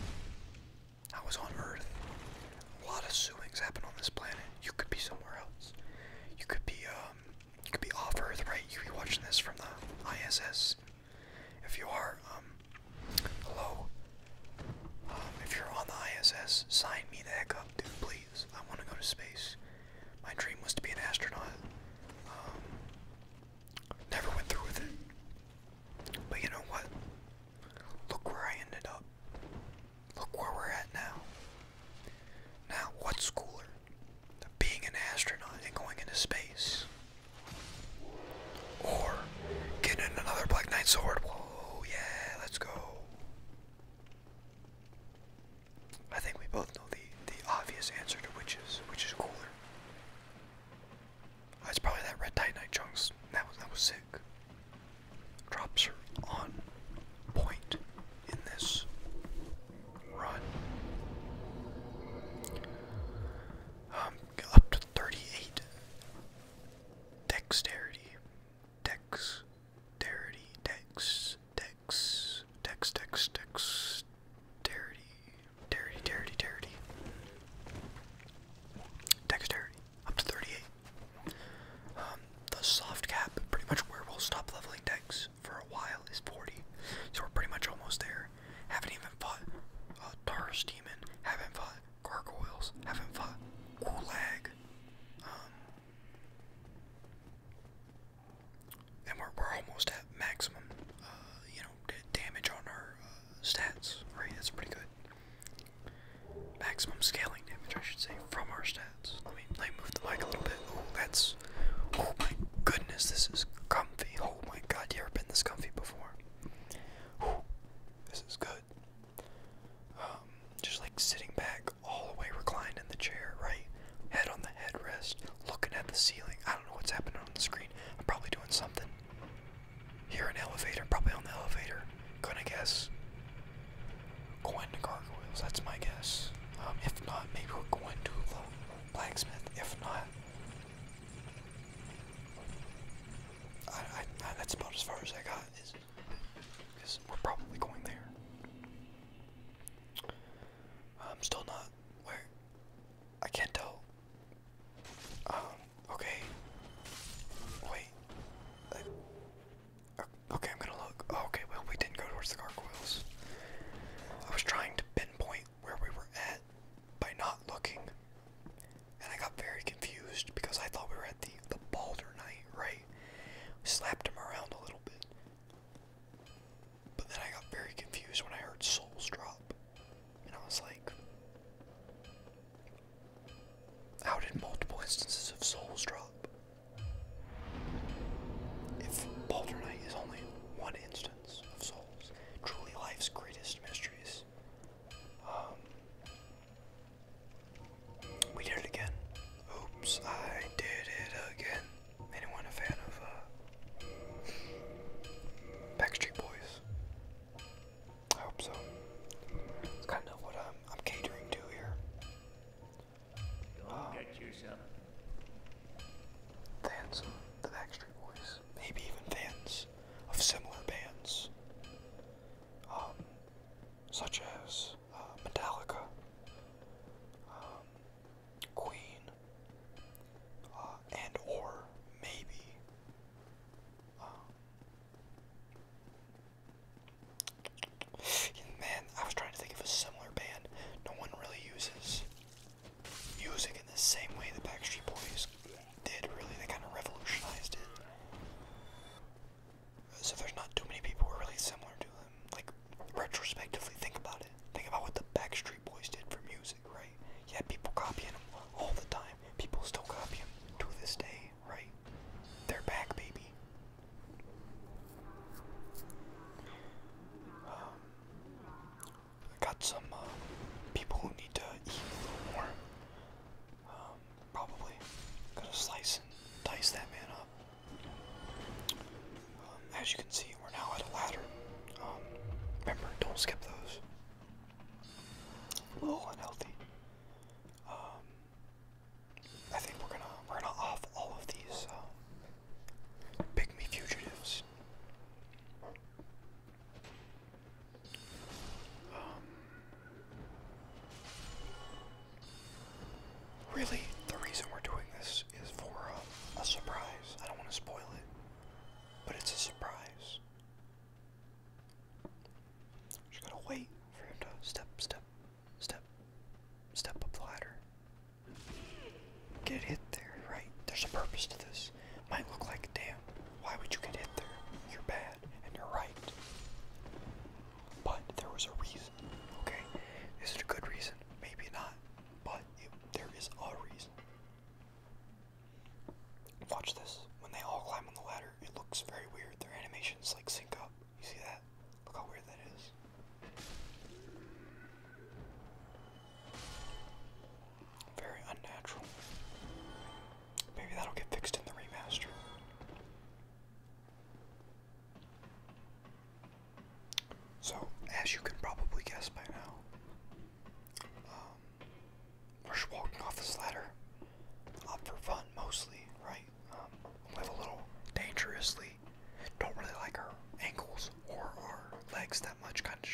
I was on Earth. A lot of suings happen on this planet. You could be somewhere else. You could be, you could be off Earth, right? You could be watching this from the ISS. If you are, um, hello. Um, if you're on the ISS, sign me the heck up, dude, please. I want to go to space. My dream was to be an astronaut. Um, never went through with it. But you know what? Look where I ended up. Look where we're at now. Now, what's cooler? being an astronaut and going into space. Or getting another Black Knight sword. Whoa, yeah, let's go. I think we both know the, the obvious answer to which is which is cooler. Ah, it's probably that red titanite chunks. That was that was sick. Drops are on point in this run. Um, up to 38. Dexterity. Dex. Dexterity. Dex. Dex. Dex. Dex. Dex. Dexterity. Dexterity. Dexterity. Dexterity. Dexterity. Up to 38. Um, the soft cap, pretty much where we'll stop leveling Dex for a while, is 40. So we're pretty much almost there. Haven't even fought uh, Taurus Demon. Haven't fought Gargoyles. Haven't fought Gulag. Um, and we're, we're almost at maximum, uh, you know, damage on our uh, stats, right? That's pretty good. Maximum scaling damage, I should say, from our stats. Let me, let me move the mic a little bit. Oh, that's, oh my goodness, this is comfy. Holy Oh my god, you ever been this comfy before? this is good. Um, just like sitting back, all the way reclined in the chair, right? Head on the headrest, looking at the ceiling. I don't know what's happening on the screen. I'm probably doing something. Here, an elevator, probably on the elevator. Gonna guess. Going to gargoyles, that's my guess. Um, if not, maybe we're going to the blacksmith. If not, that's about as far as I got is because we're probably going there. I'm still not where I can't tell. Um, okay. Wait. Uh, okay, I'm gonna look. Oh, okay, well, we didn't go towards the gargoyles. I was trying to pinpoint where we were at by not looking. And I got very confused because I thought we were at the, the Balder Knight, right? slapped him around a little bit. But then I got very confused when I heard souls drop. And I was like, how did multiple instances of souls drop? If Balder Knight is only one instance of souls, truly life's greatest mysteries. Um, we did it again. Oops, I did it again. Anyone a fan of uh, Backstreet Boys? I hope so. It's kind of what I'm, catering to here. get yourself. The the Backstreet Boys maybe even fans of similar bands, um, such as uh, Metallica, um, Queen, uh, and or maybe um, man, I was trying to think of a similar band no one really uses music in the same way the Backstreet Boys did, really. They kind of revolutionized it. So there's not too many people who are really similar to them. Like, retrospectively, think about it. Think about what the Backstreet Boys did for music, right? You had people copying them all the time. People still copy them to this day, right? They're back, baby. Um, I got some uh, people who need to eat a little more. Um, probably. Gotta slice and dice that man up. Um, as you can see, we're now at a ladder. Um, remember, don't skip those. A little unhealthy. I think we're gonna we're gonna off all of these uh, pygmy fugitives. Um, really, the reason we're doing this is for a, uh, a surprise. I don't want to spoil it, but it's a surprise. Just gotta wait for him to step, step, step, step up the ladder get hit there, right? There's a purpose to this. Might look like, a damn, why would you get hit there? You're bad, and you're right. But there was a reason, okay? Is it a good reason? Maybe not, but it, there is a reason. Watch this. When they all climb on the ladder, it looks very weird. Their animations like sync up. You see that? Look how weird that is. Very unnatural. Maybe that'll get fixed in the remaster. So, as you can probably guess by now, um, we're just walking off this ladder up for fun mostly, right? Um, live a little dangerously. Don't really like our ankles or our legs that much. Kind of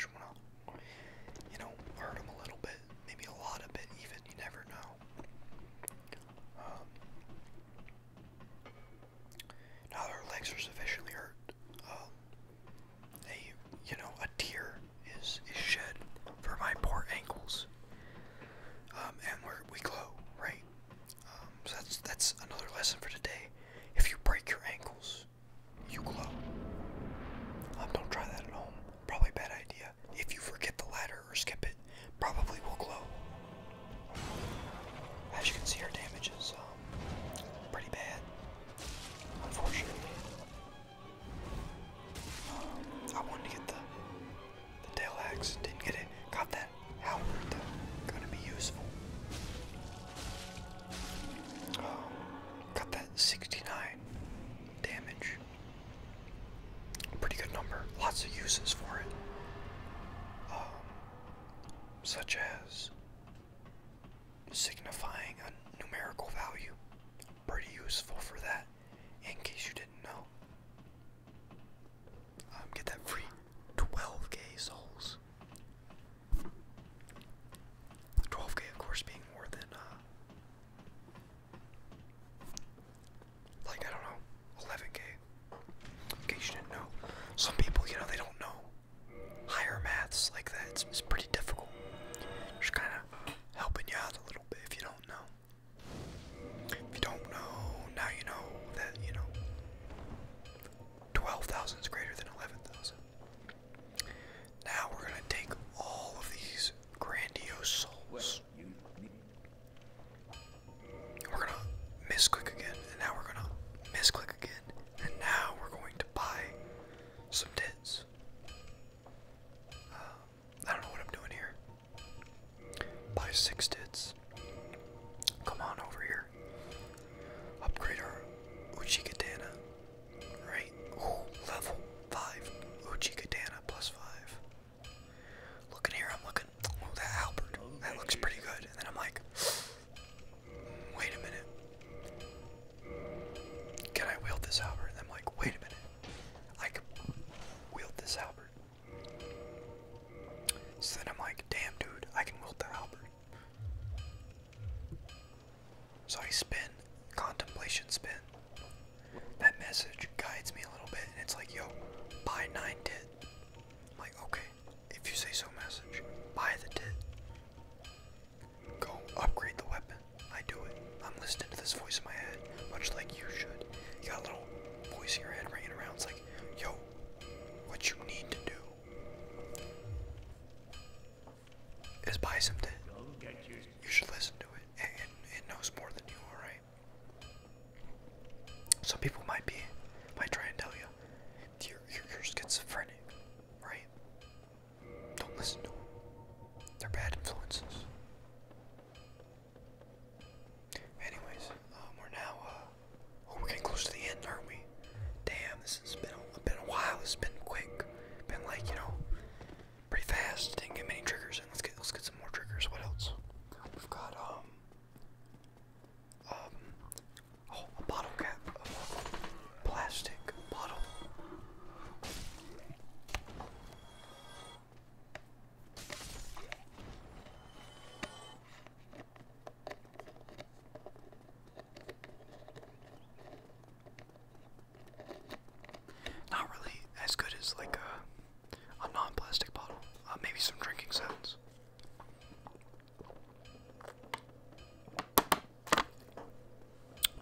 you know, hurt them a little bit, maybe a lot of bit, even, you never know. Um, now their legs are sufficiently hurt. Um, you know, a tear is, is shed for my poor ankles. Um, and we we glow, right? Um, so that's that's another lesson for today. If you break your ankles, you glow. Um, don't try that at home. Probably bad idea. If you forget the ladder or skip it, probably will glow. As you can see, our damage is um, pretty bad, unfortunately. Um, I wanted to get the the tail axe, didn't get it. Got that halberd though, gonna be useful got that 69 damage. Pretty good number. Lots of uses for it. Um, such as signifying a numerical value. Pretty useful for that, in case you didn't know. Um, get that free 12k souls. 12k, of course, being more than, uh, like, I don't know, 11k. In case you didn't know. Some people, you know, they don't know higher maths like that. it's pretty difficult. Just kind of helping you out a little bit if you don't know. If you don't know, now you know that, you know, 12,000 is greater than 11,000. Now we're gonna take all of these grandiose souls. We're gonna misclick again, and now we're gonna misclick again, and now we're going to buy some tits. Um, I don't know what I'm doing here. Buy six tits. Come on over here. Upgrade our Uchi Katana. Right. level five. Uchi Katana plus five. Looking here, I'm looking. Oh, that Halberd. That looks pretty good. And then I'm like, wait a minute. Can I wield this Halberd? And I'm like, wait a minute. I can wield this Halberd. So then I'm like, damn, dude, I can wield the Halberd. So I spin, contemplation spin. That message guides me a little bit, and it's like, yo, buy nine did. I'm like, okay, if you say so, message, buy the did. Go upgrade the weapon. I do it. I'm listening to this voice in my head, much like you should. You got a little voice in your head ringing around. It's like, yo, what you need to do is buy some You should listen to it. It, it. knows more than you, alright? Some people might be, might try and tell you, you're, you're, schizophrenic, right? Don't listen to them. They're bad influences. Anyways, um, we're now, uh, we're getting close to the end, aren't we? Damn, this has been a, been a while. It's been quick. Been like you know, pretty fast. Didn't get many triggers. And let's get let's get some more triggers. What else? We've got um, um oh a bottle cap, a plastic bottle. Not really as good as like a, a non-plastic bottle. Uh, maybe some drinking sounds.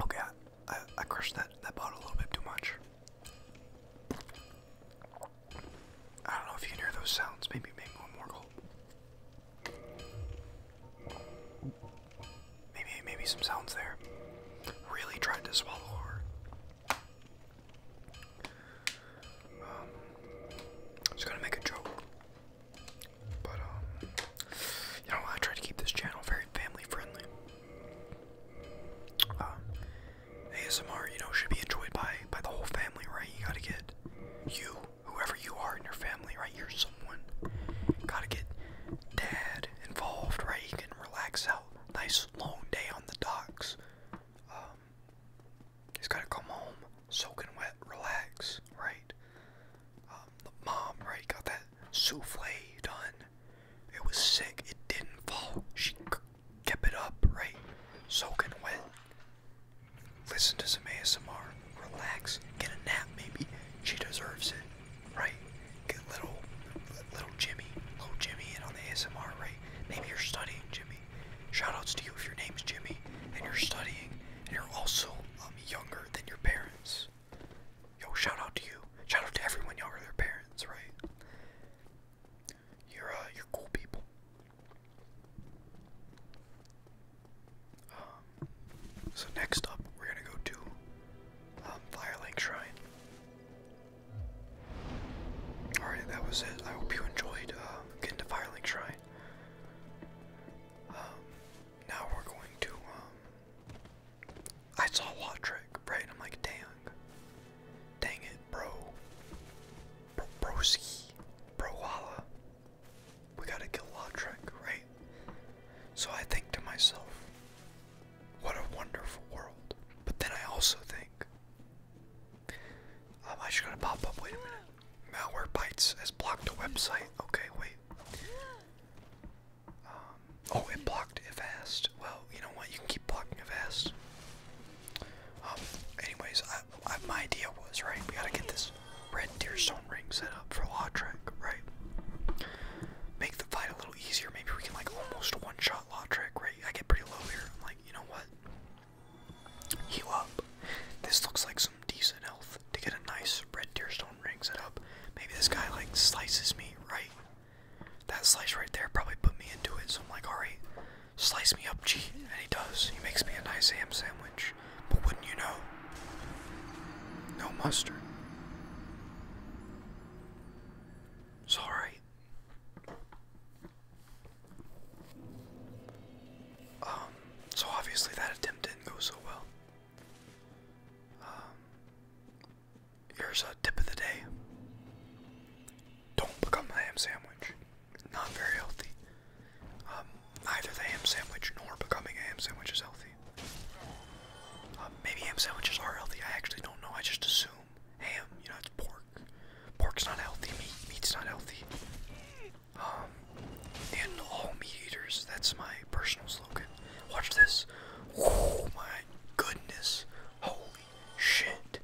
Okay, I, I, crushed that, that bottle a little bit too much. I don't know if you can hear those sounds. Maybe, maybe one more goal. Maybe, maybe some sounds there. Really tried to swallow her. Um, I gonna make a joke, but um, you know, I try to keep this channel very family friendly. Um, ASMR, you know, should be enjoyed by by the whole family, right? You gotta get you whoever you are in your family, right? You're someone. Gotta get dad involved, right? He can relax out. Nice long day on the docks. Um, he's gotta come home, soaking wet, relax, right? Um, the mom, right, got that souffle done. It was sick. It didn't fall. She kept it up, right? Soaking wet. Listen to some ASMR relax, get a nap maybe. She deserves it, right? Get little, little Jimmy, little Jimmy in on the ASMR, right? Maybe you're studying, Jimmy. Shoutouts to you if your name's Jimmy and you're studying and you're also um, younger than your parents. Yo, shout out to you. Shout out to everyone younger than their parents, right? You're uh, you're cool people. Um, so next up, we're gonna go to um, Firelink Shrine. Alright, that was it. I hope you enjoyed um, getting to Firelink Shrine. now we're going to. I saw Wattrick, right? I'm like, dang, dang it, bro, broski, bro we gotta kill Lautrec, right? So I think to myself, what a wonderful world. But then I also think, um, I just gotta pop up. Wait a minute. Malware Bytes has blocked a website. Okay, wait. Um, oh, it blocked it fast. Well, you know what? You can keep blocking Avast. Um, anyways, my idea was, right, we gotta get this Red Deer Stone Ring set up for Lawtrick, right? Make the fight a little easier. Maybe we can like almost one shot Lawtrick, right? I get pretty low here. I'm like, you know what? Heal up. This looks like some decent health to get a nice Red Deer Stone Ring set up. Maybe this guy like slices me, right? That slice right there probably put me into it, so I'm like, alright, slice me up, G. And he does. He makes me a nice ham sandwich ranch, but wouldn't you know? No mustard. It's Um, so obviously that attempt didn't go so well. Um, here's a tip of the day. Don't become a ham sandwich. Not very healthy. Um, Either the ham sandwich nor becoming a ham sandwich is healthy. Uh, maybe ham sandwiches are healthy. I actually don't know. I just assume ham. You know, it's pork. Pork's not healthy. Meat. Meat's not healthy. Um, and all meat eaters. That's my personal slogan. Watch this. Oh my goodness. Holy shit.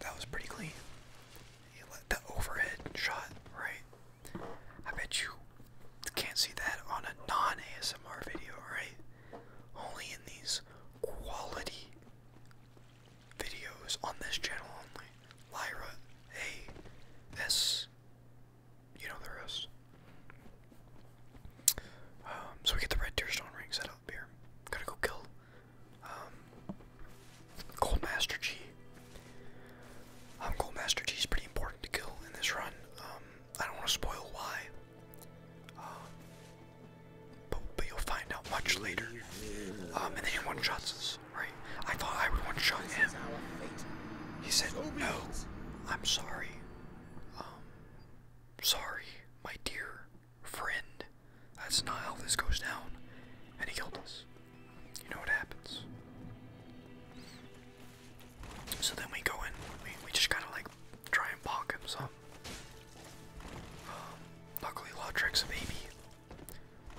That was pretty clean. He let the overhead shot, right? I bet you can't see that on a non ASMR video, right? Only in these quality videos on this channel only. Lyra A S. You know the rest. Um, so we get the red Deerstone ring set up here. Gotta go kill um, Gold Master G. I'm um, Gold Master G is pretty important to kill in this run. Um, I don't want to spoil why, um, but, but you'll find out much later. and then he one-shots us, right? I thought I would one-shot him. He said, no, I'm sorry. sorry, my dear friend. That's not how this goes down. And he killed us. You know what happens. So then we go in, we, just kind of like try and bonk him So Um, Law Tricks a baby.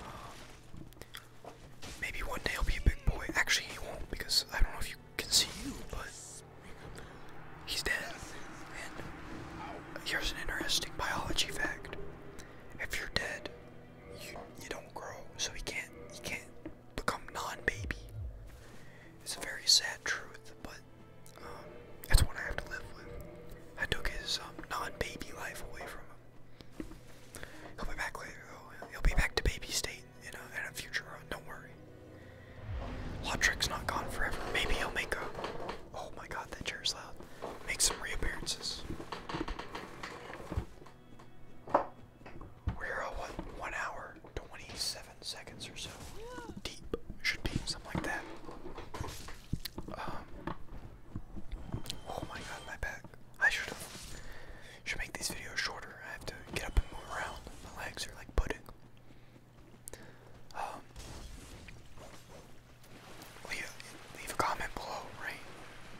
Um, maybe one day he'll be a big boy. Actually, he won't because I don't know if you can see you, but he's dead. And here's an interesting biology fact: if you're dead, you you don't grow, so he can't he can't become non-baby. It's a very sad truth, but that's um, what I have to live with. I took his um, non-baby life away from him. He'll be back later, He'll be back to baby state in a, future Don't worry. Lotrick's not gone forever. Maybe he'll make a. Oh my God, that chair's loud. Make some reappearances. We're uh, what one hour, twenty-seven seconds or so. Deep should be something like that. Um. Oh my God, my back. I should have should make these videos shorter. I have to get up and move around. My legs are like pudding. Um. Leave, a comment below, right?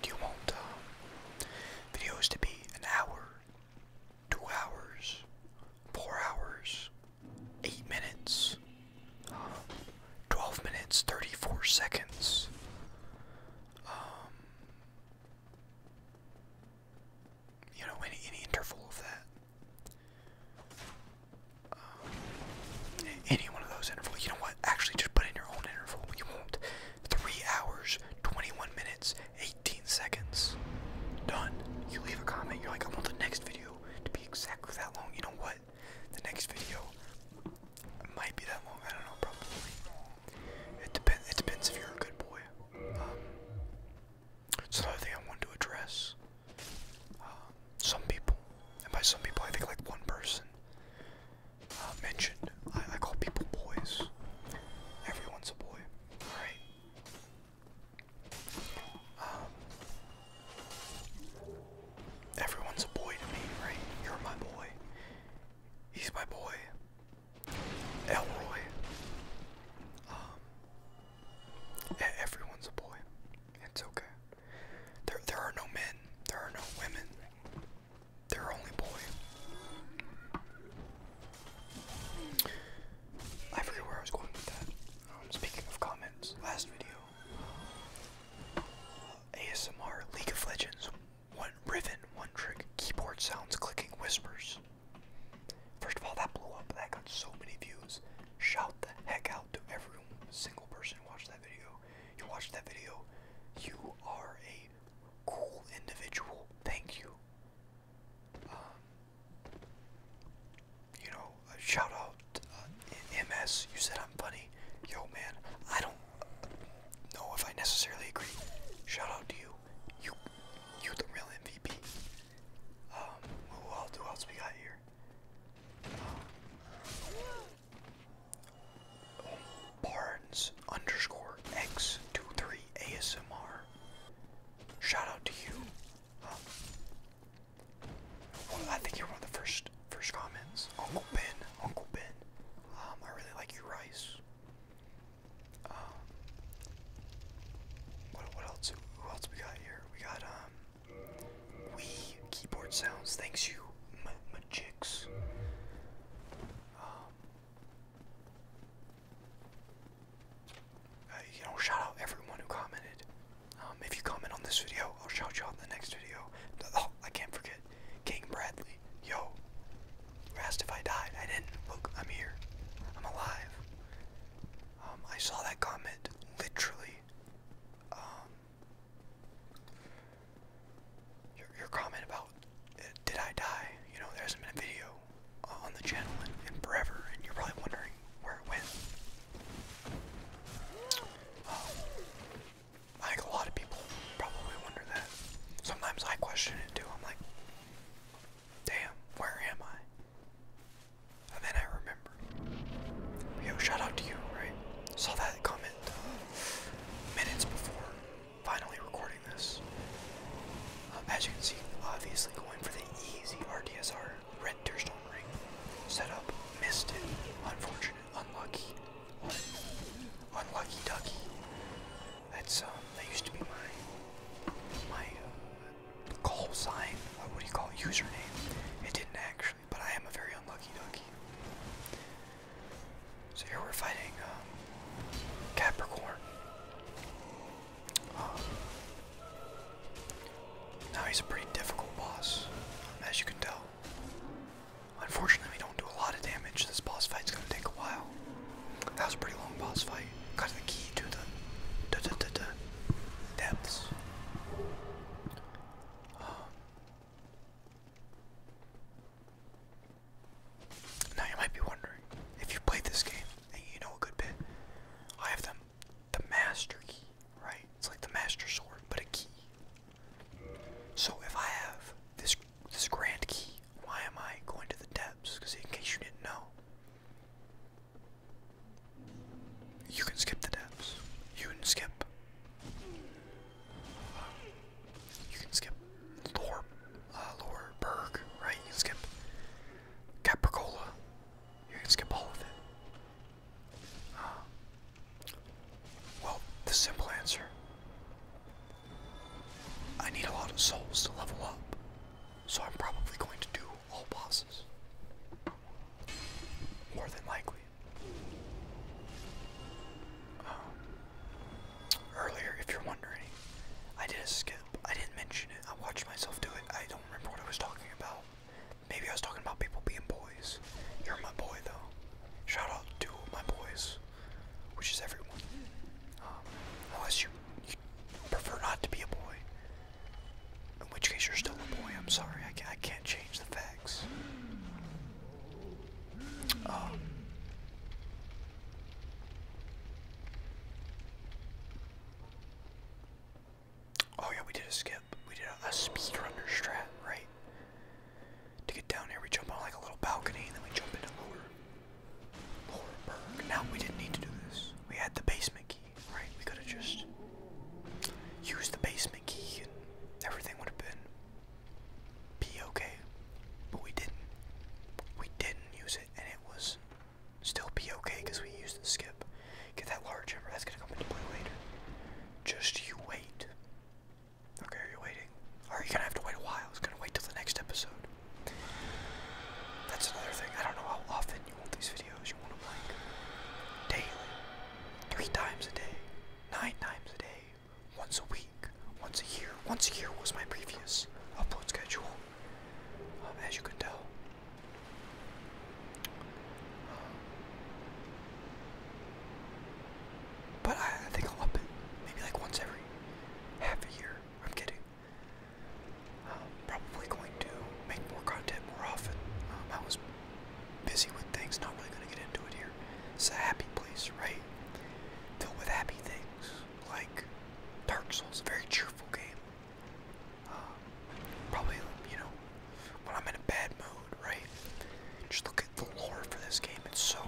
Do you want um, videos to be an hour two hours, four hours, eight minutes, 12 minutes, 34 seconds. Um, you know, any, any interval of that. Um, any one of those intervals. You know what? Actually, just put in your own interval. You won't. Three hours, 21 minutes, 18 seconds. Done. You leave a comment, you're like, I want the next video to be exactly that long. You know what? The next video might be that long. I don't know, probably. It depends it depends if you're a good boy. Um another thing I want to address. Um, some people, and by some people I think like one person uh, mentioned, I, call people boys. Everyone's a boy, right? Um, everyone's a boy to me, right? You're my boy. He's my boy. Elroy. Um, everyone's a boy. It's okay. There, there are no men. There are no women. They're only boy. I forget where I was going with that. Um, speaking of comments, last video, ASMR League of Legends, one ribbon, one trick, keyboard sounds, clicking whispers. First of all, that blew up. That got so many views. Shout the heck out to every single person who watched that video. You watched that video, you are a cool individual. Thank you. Um, you know, shout out uh, MS. You said I'm funny. Yo, man, I don't know if I necessarily agree. Shout out to you. You, you the real MVP. Um, who else, who else we got here? Um, Barnes underscore x three ASMR. Shout out to you. Um, I think you're one of the first first comments. Uncle Ben, Uncle Ben. Um, I really like your rice. Um, what else? Who else we got here? We got um, we keyboard sounds. Thanks you, Majix. Uh, you know, shout out everyone who commented. Um, if you comment on this video, I'll shout you out in the next video. Oh, I can't forget. King Bradley. Yo. asked if I died. I didn't. Look, I'm here. I'm alive. Um, I saw that comment literally. Um, your, your comment about about did I die? You know, there hasn't been a video on the channel in, forever, and you're probably wondering where it went. Um, I think a lot of people probably wonder that. Sometimes I question it too. I'm like, damn, where am I? And then I remember. Yo, shout out to you, right? Saw that comment uh, minutes before finally recording this. Um, as you can see, obviously going for the easy RDSR red Deerstone ring setup. Missed it. Unfortunate. Unlucky. Unlucky ducky. That's um. That used to be my my uh, call sign. Uh, what do you call it? Username. It didn't actually, but I am a very unlucky ducky. So here we're fighting um, Capricorn. Um, now he's a pretty difficult boss, as you can tell. Unfortunately, we don't do a lot of damage. This boss fight's gonna take a while. That was a pretty long boss fight. Got the key to the depths. Um, now you might be wondering, if you played this game and you know a good bit, I have them the master key, right? It's like the master sword, but a key. So if I have this this grand key, why am I going to the depths? Because in case you didn't know, you can skip the depths. You can skip. You can skip lore Ah, lower berg, right? You skip Capricola. You can skip all of it. Ah. well, the simple answer. I need a lot of souls to level up, so I'm probably going to do all bosses. More than likely. Um, earlier, if you're wondering, I did a skip. I didn't mention it. I watched myself do it. I don't remember what I was talking about. Maybe I was talking about people being boys. You're my boy, though. Shout out to my boys, which is everyone. Um, unless you, prefer not to be a boy. In which case, you're still a boy. I'm sorry. I can't, change the facts. Um, Oh yeah, we did a skip. We did a, speedrunner strat, right? To get down here, we jump on like a little balcony, and then we jump into lower, lower Now we didn't need to do this. We had the basement key, right? We could have just used the basement key, and everything would have been be okay. But we didn't. We didn't use and it was still be okay because we used the skip. Get that large ember, that's gonna come into play later. Just you wait. Okay, are you waiting? are you gonna have to wait a while? It's gonna wait till the next episode. That's another thing. I don't know how often you want these videos. You want them like daily, three times a day, nine times a day, once a week once a year. Once a year was my previous upload schedule, um, as you can tell. but I, think I'll up it maybe like once every half a year. I'm kidding. Um, probably going to make more content more often. Um, I was busy with things, not really going to get into it here. It's a happy place, right? Filled with happy things like Dark Souls, a very cheerful game. Um, probably, you know, when I'm in a bad mood, right? Just look at the lore for this game. It's so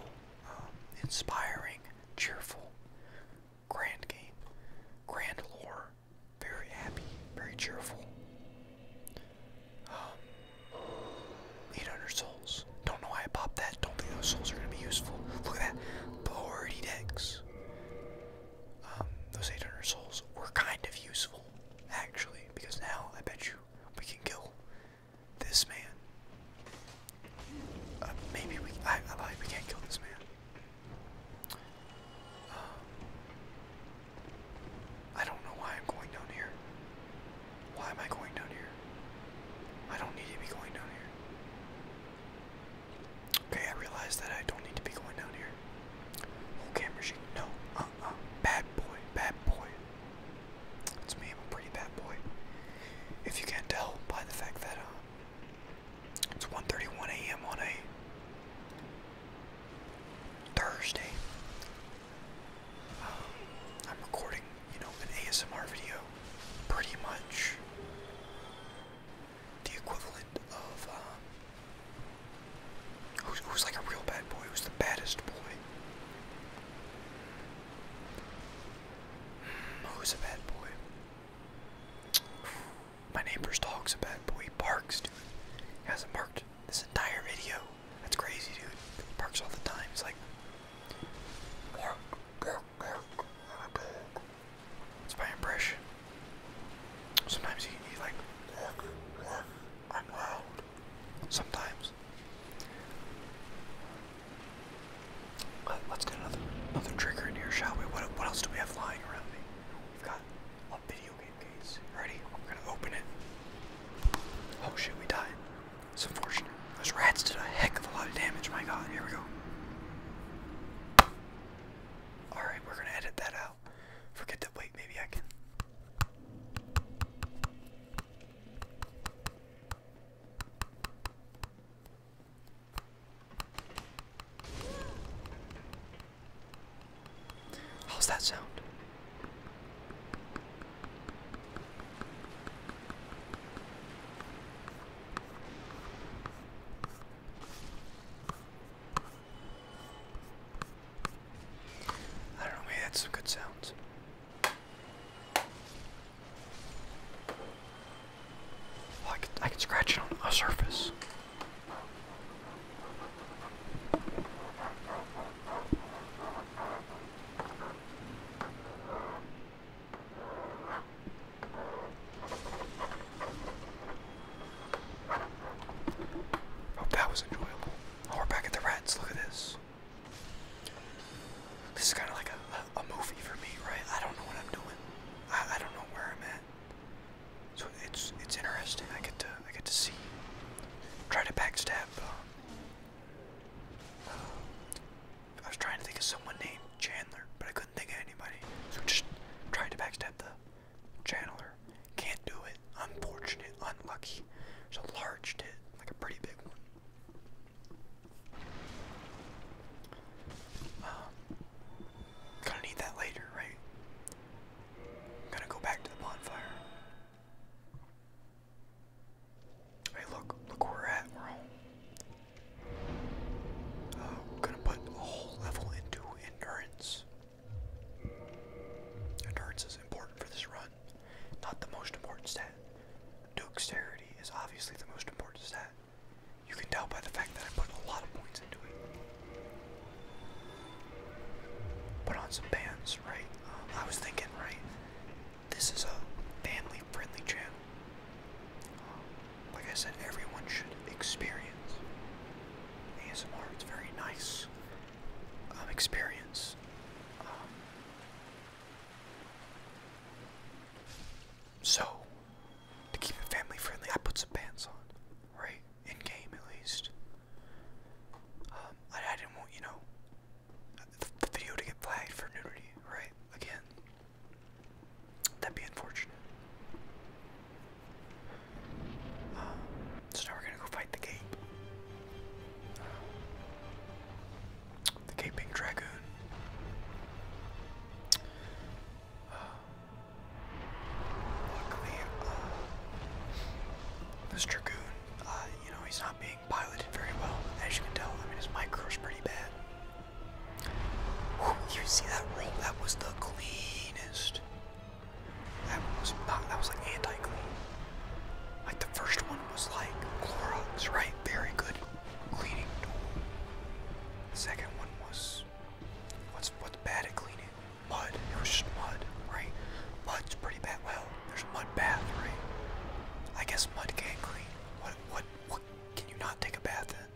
um, inspiring, cheerful, grand game, grand lore, very happy, very cheerful. Um, 800 souls souls. Don't know why I popped that. Don't think those souls are going to be useful. Look at that. 40 decks. Um, those 800 souls were kind of useful, actually, because now I bet you we can kill this man. Uh, maybe we. can't kill this man. Um, I don't know why I'm going down here. Why am I going down here? I don't need to be going down here. Okay, I realize that I don't need to be going down here. Whole camera shake. No, uh, uh, bad boy, bad boy. That's me. I'm a pretty bad boy. If you can't tell by the fact that uh, it's 1:31 a.m. on a Thursday. Um, I'm recording you know, an ASMR video pretty much the equivalent of um, who's, like a real bad boy, who's the baddest boy. Hmm, who's a bad boy? My neighbor's dog's a bad boy. He barks, dude. He hasn't barked this entire video. That's crazy, dude. He barks all the time. It's like, it's my impression. Sometimes you can be like, I'm loud. Sometimes. Let's get another another trigger in here, shall we? What what else do we have lying around me? We've got a video game case. Ready? We're gonna open it. Oh shit, we died. It's unfortunate. Those rats did a heck of a lot of damage, my god. Here we go. Alright, we're gonna edit that out. Forget that. Wait, maybe I can. How's that sound? I don't know, maybe that's some good sounds. Oh, I, could, I could scratch it on a surface. Hope that was enjoyable. we're back at the rats. Look at this. This is kind of like a, a, movie for me, right? I don't know what I'm doing. I, I don't know where I'm at. So it's it's interesting. I get to I get to see. Try to backstab. Uh, uh, I was trying to think of someone named Chandler, but I couldn't think of anybody. So just trying to backstep the Chandler. Can't do it. Unfortunate. Unlucky. It's a large tit, like a pretty big one. Um, gonna need that later, right? gonna go back to the bonfire. Hey, look, look where we're at. We're home. Uh, gonna put a whole level into endurance. Endurance is important for this run. Not the most important stat. Dexterity is obviously the most important stat. You can tell by the fact that I put a lot of points into it. Put on some bands, right? Um, I was thinking, right? This is a family-friendly channel. Um, like I said, everyone should experience ASMR. It's very nice um, experience. Um, so, to keep it family friendly, I put some pants on, right? In game, at least. Um, I didn't want, you know, the video to get flagged for nudity, right? Again, That'd be unfortunate. Uh, so we're gonna go fight the Gape. the Gaping Dragoon. Uh, luckily, uh, this Dragoon, you know, he's not being piloted very well. As you can tell, I mean, his micro's pretty bad you see that That was the cleanest. That was not, that was like anti-clean. Like the first one was like was right? Very good cleaning tool. The second one was what's what's bad at cleaning? Mud. It was just mud, right? Mud's pretty bad. Well, there's a mud bath, right? I guess mud can't clean. What what what can you not take a bath in?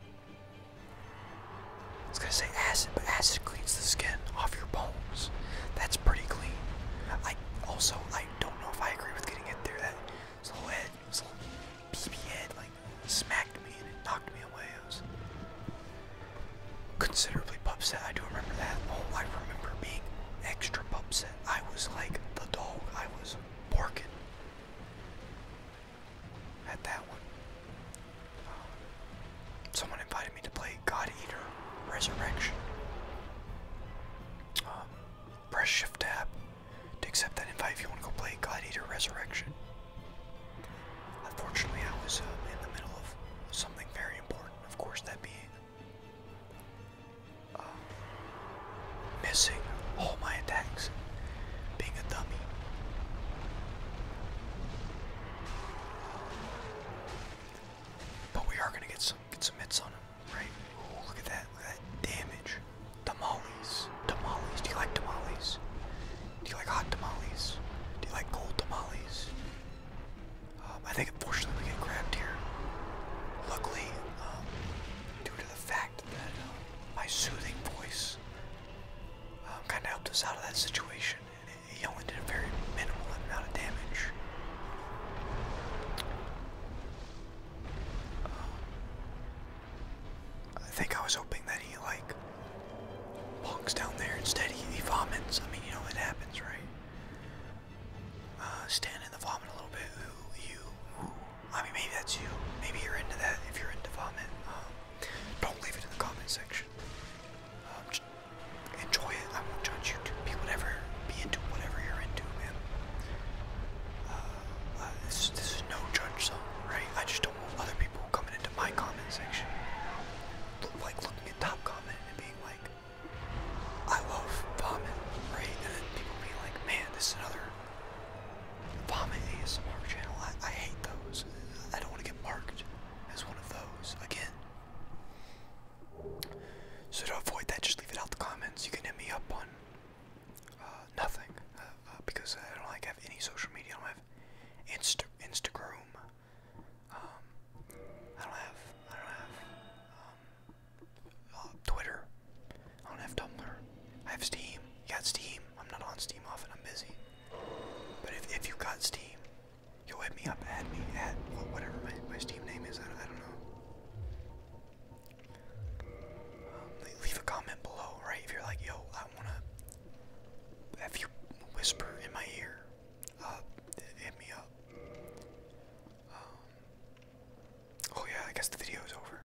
I was gonna say acid, but acid cleans the skin off your bones. That's pretty clean. I also I don't know if I agree with getting it there. That his head, his BB head, like smacked me and it knocked me away. I was considerably upset. I do remember that. Oh, I remember being extra upset. I was like the dog. I was barking at that one. Um, someone invited me to play God Eater Resurrection. Um, press Shift Tab to accept that invite if you want to go play God Eater Resurrection. Unfortunately, I was uh, in the middle of something very important. Of course, that being uh, missing all my attacks, being a dummy. But we are gonna get some get some hits on him, right? Ooh, look at that, damage. Tamales. Tamales. Do you like tamales? Do you like hot tamales? Do you like cold tamales? Um, I think unfortunately we get grabbed here. Luckily, um, due to the fact my soothing voice um, kind of helped us out of that situation. And he only did a very minimal amount of damage. Um, I think I was hoping that he like walks down there. Instead, he, he vomits. I mean, you know it happens, right? Uh, stand in the vomit a little bit. I mean, maybe that's you. Maybe you're into that. If you're into vomit, um, don't leave it in the comment section. Um, enjoy it. I won't judge you. be whatever. Be into whatever you're into, man. Uh, uh, this, is no judge right? I just don't want other people coming into my comment section, like looking at top comment and being like, "I love vomit," right? And then people being like, "Man, this is another vomit ASMR channel. I, hate those. I don't want to get marked as one of those again. So to avoid that, just leave it out the comments. You can hit me up on uh, nothing uh, uh, because I don't like have any social media. I don't have Insta Instagram. Um, I don't have I don't have um, Twitter. I don't have Tumblr. I have Steam. You got Steam. I'm not on Steam often. I'm busy. But if, if you got Steam, you'll hit me up. Add me. at whatever my, my Steam name is. I, I don't know. Um, leave a comment below, right? If you're like, yo, I want to. If you whisper in my ear, uh, hit me up. Um, oh, yeah, I guess the video is over.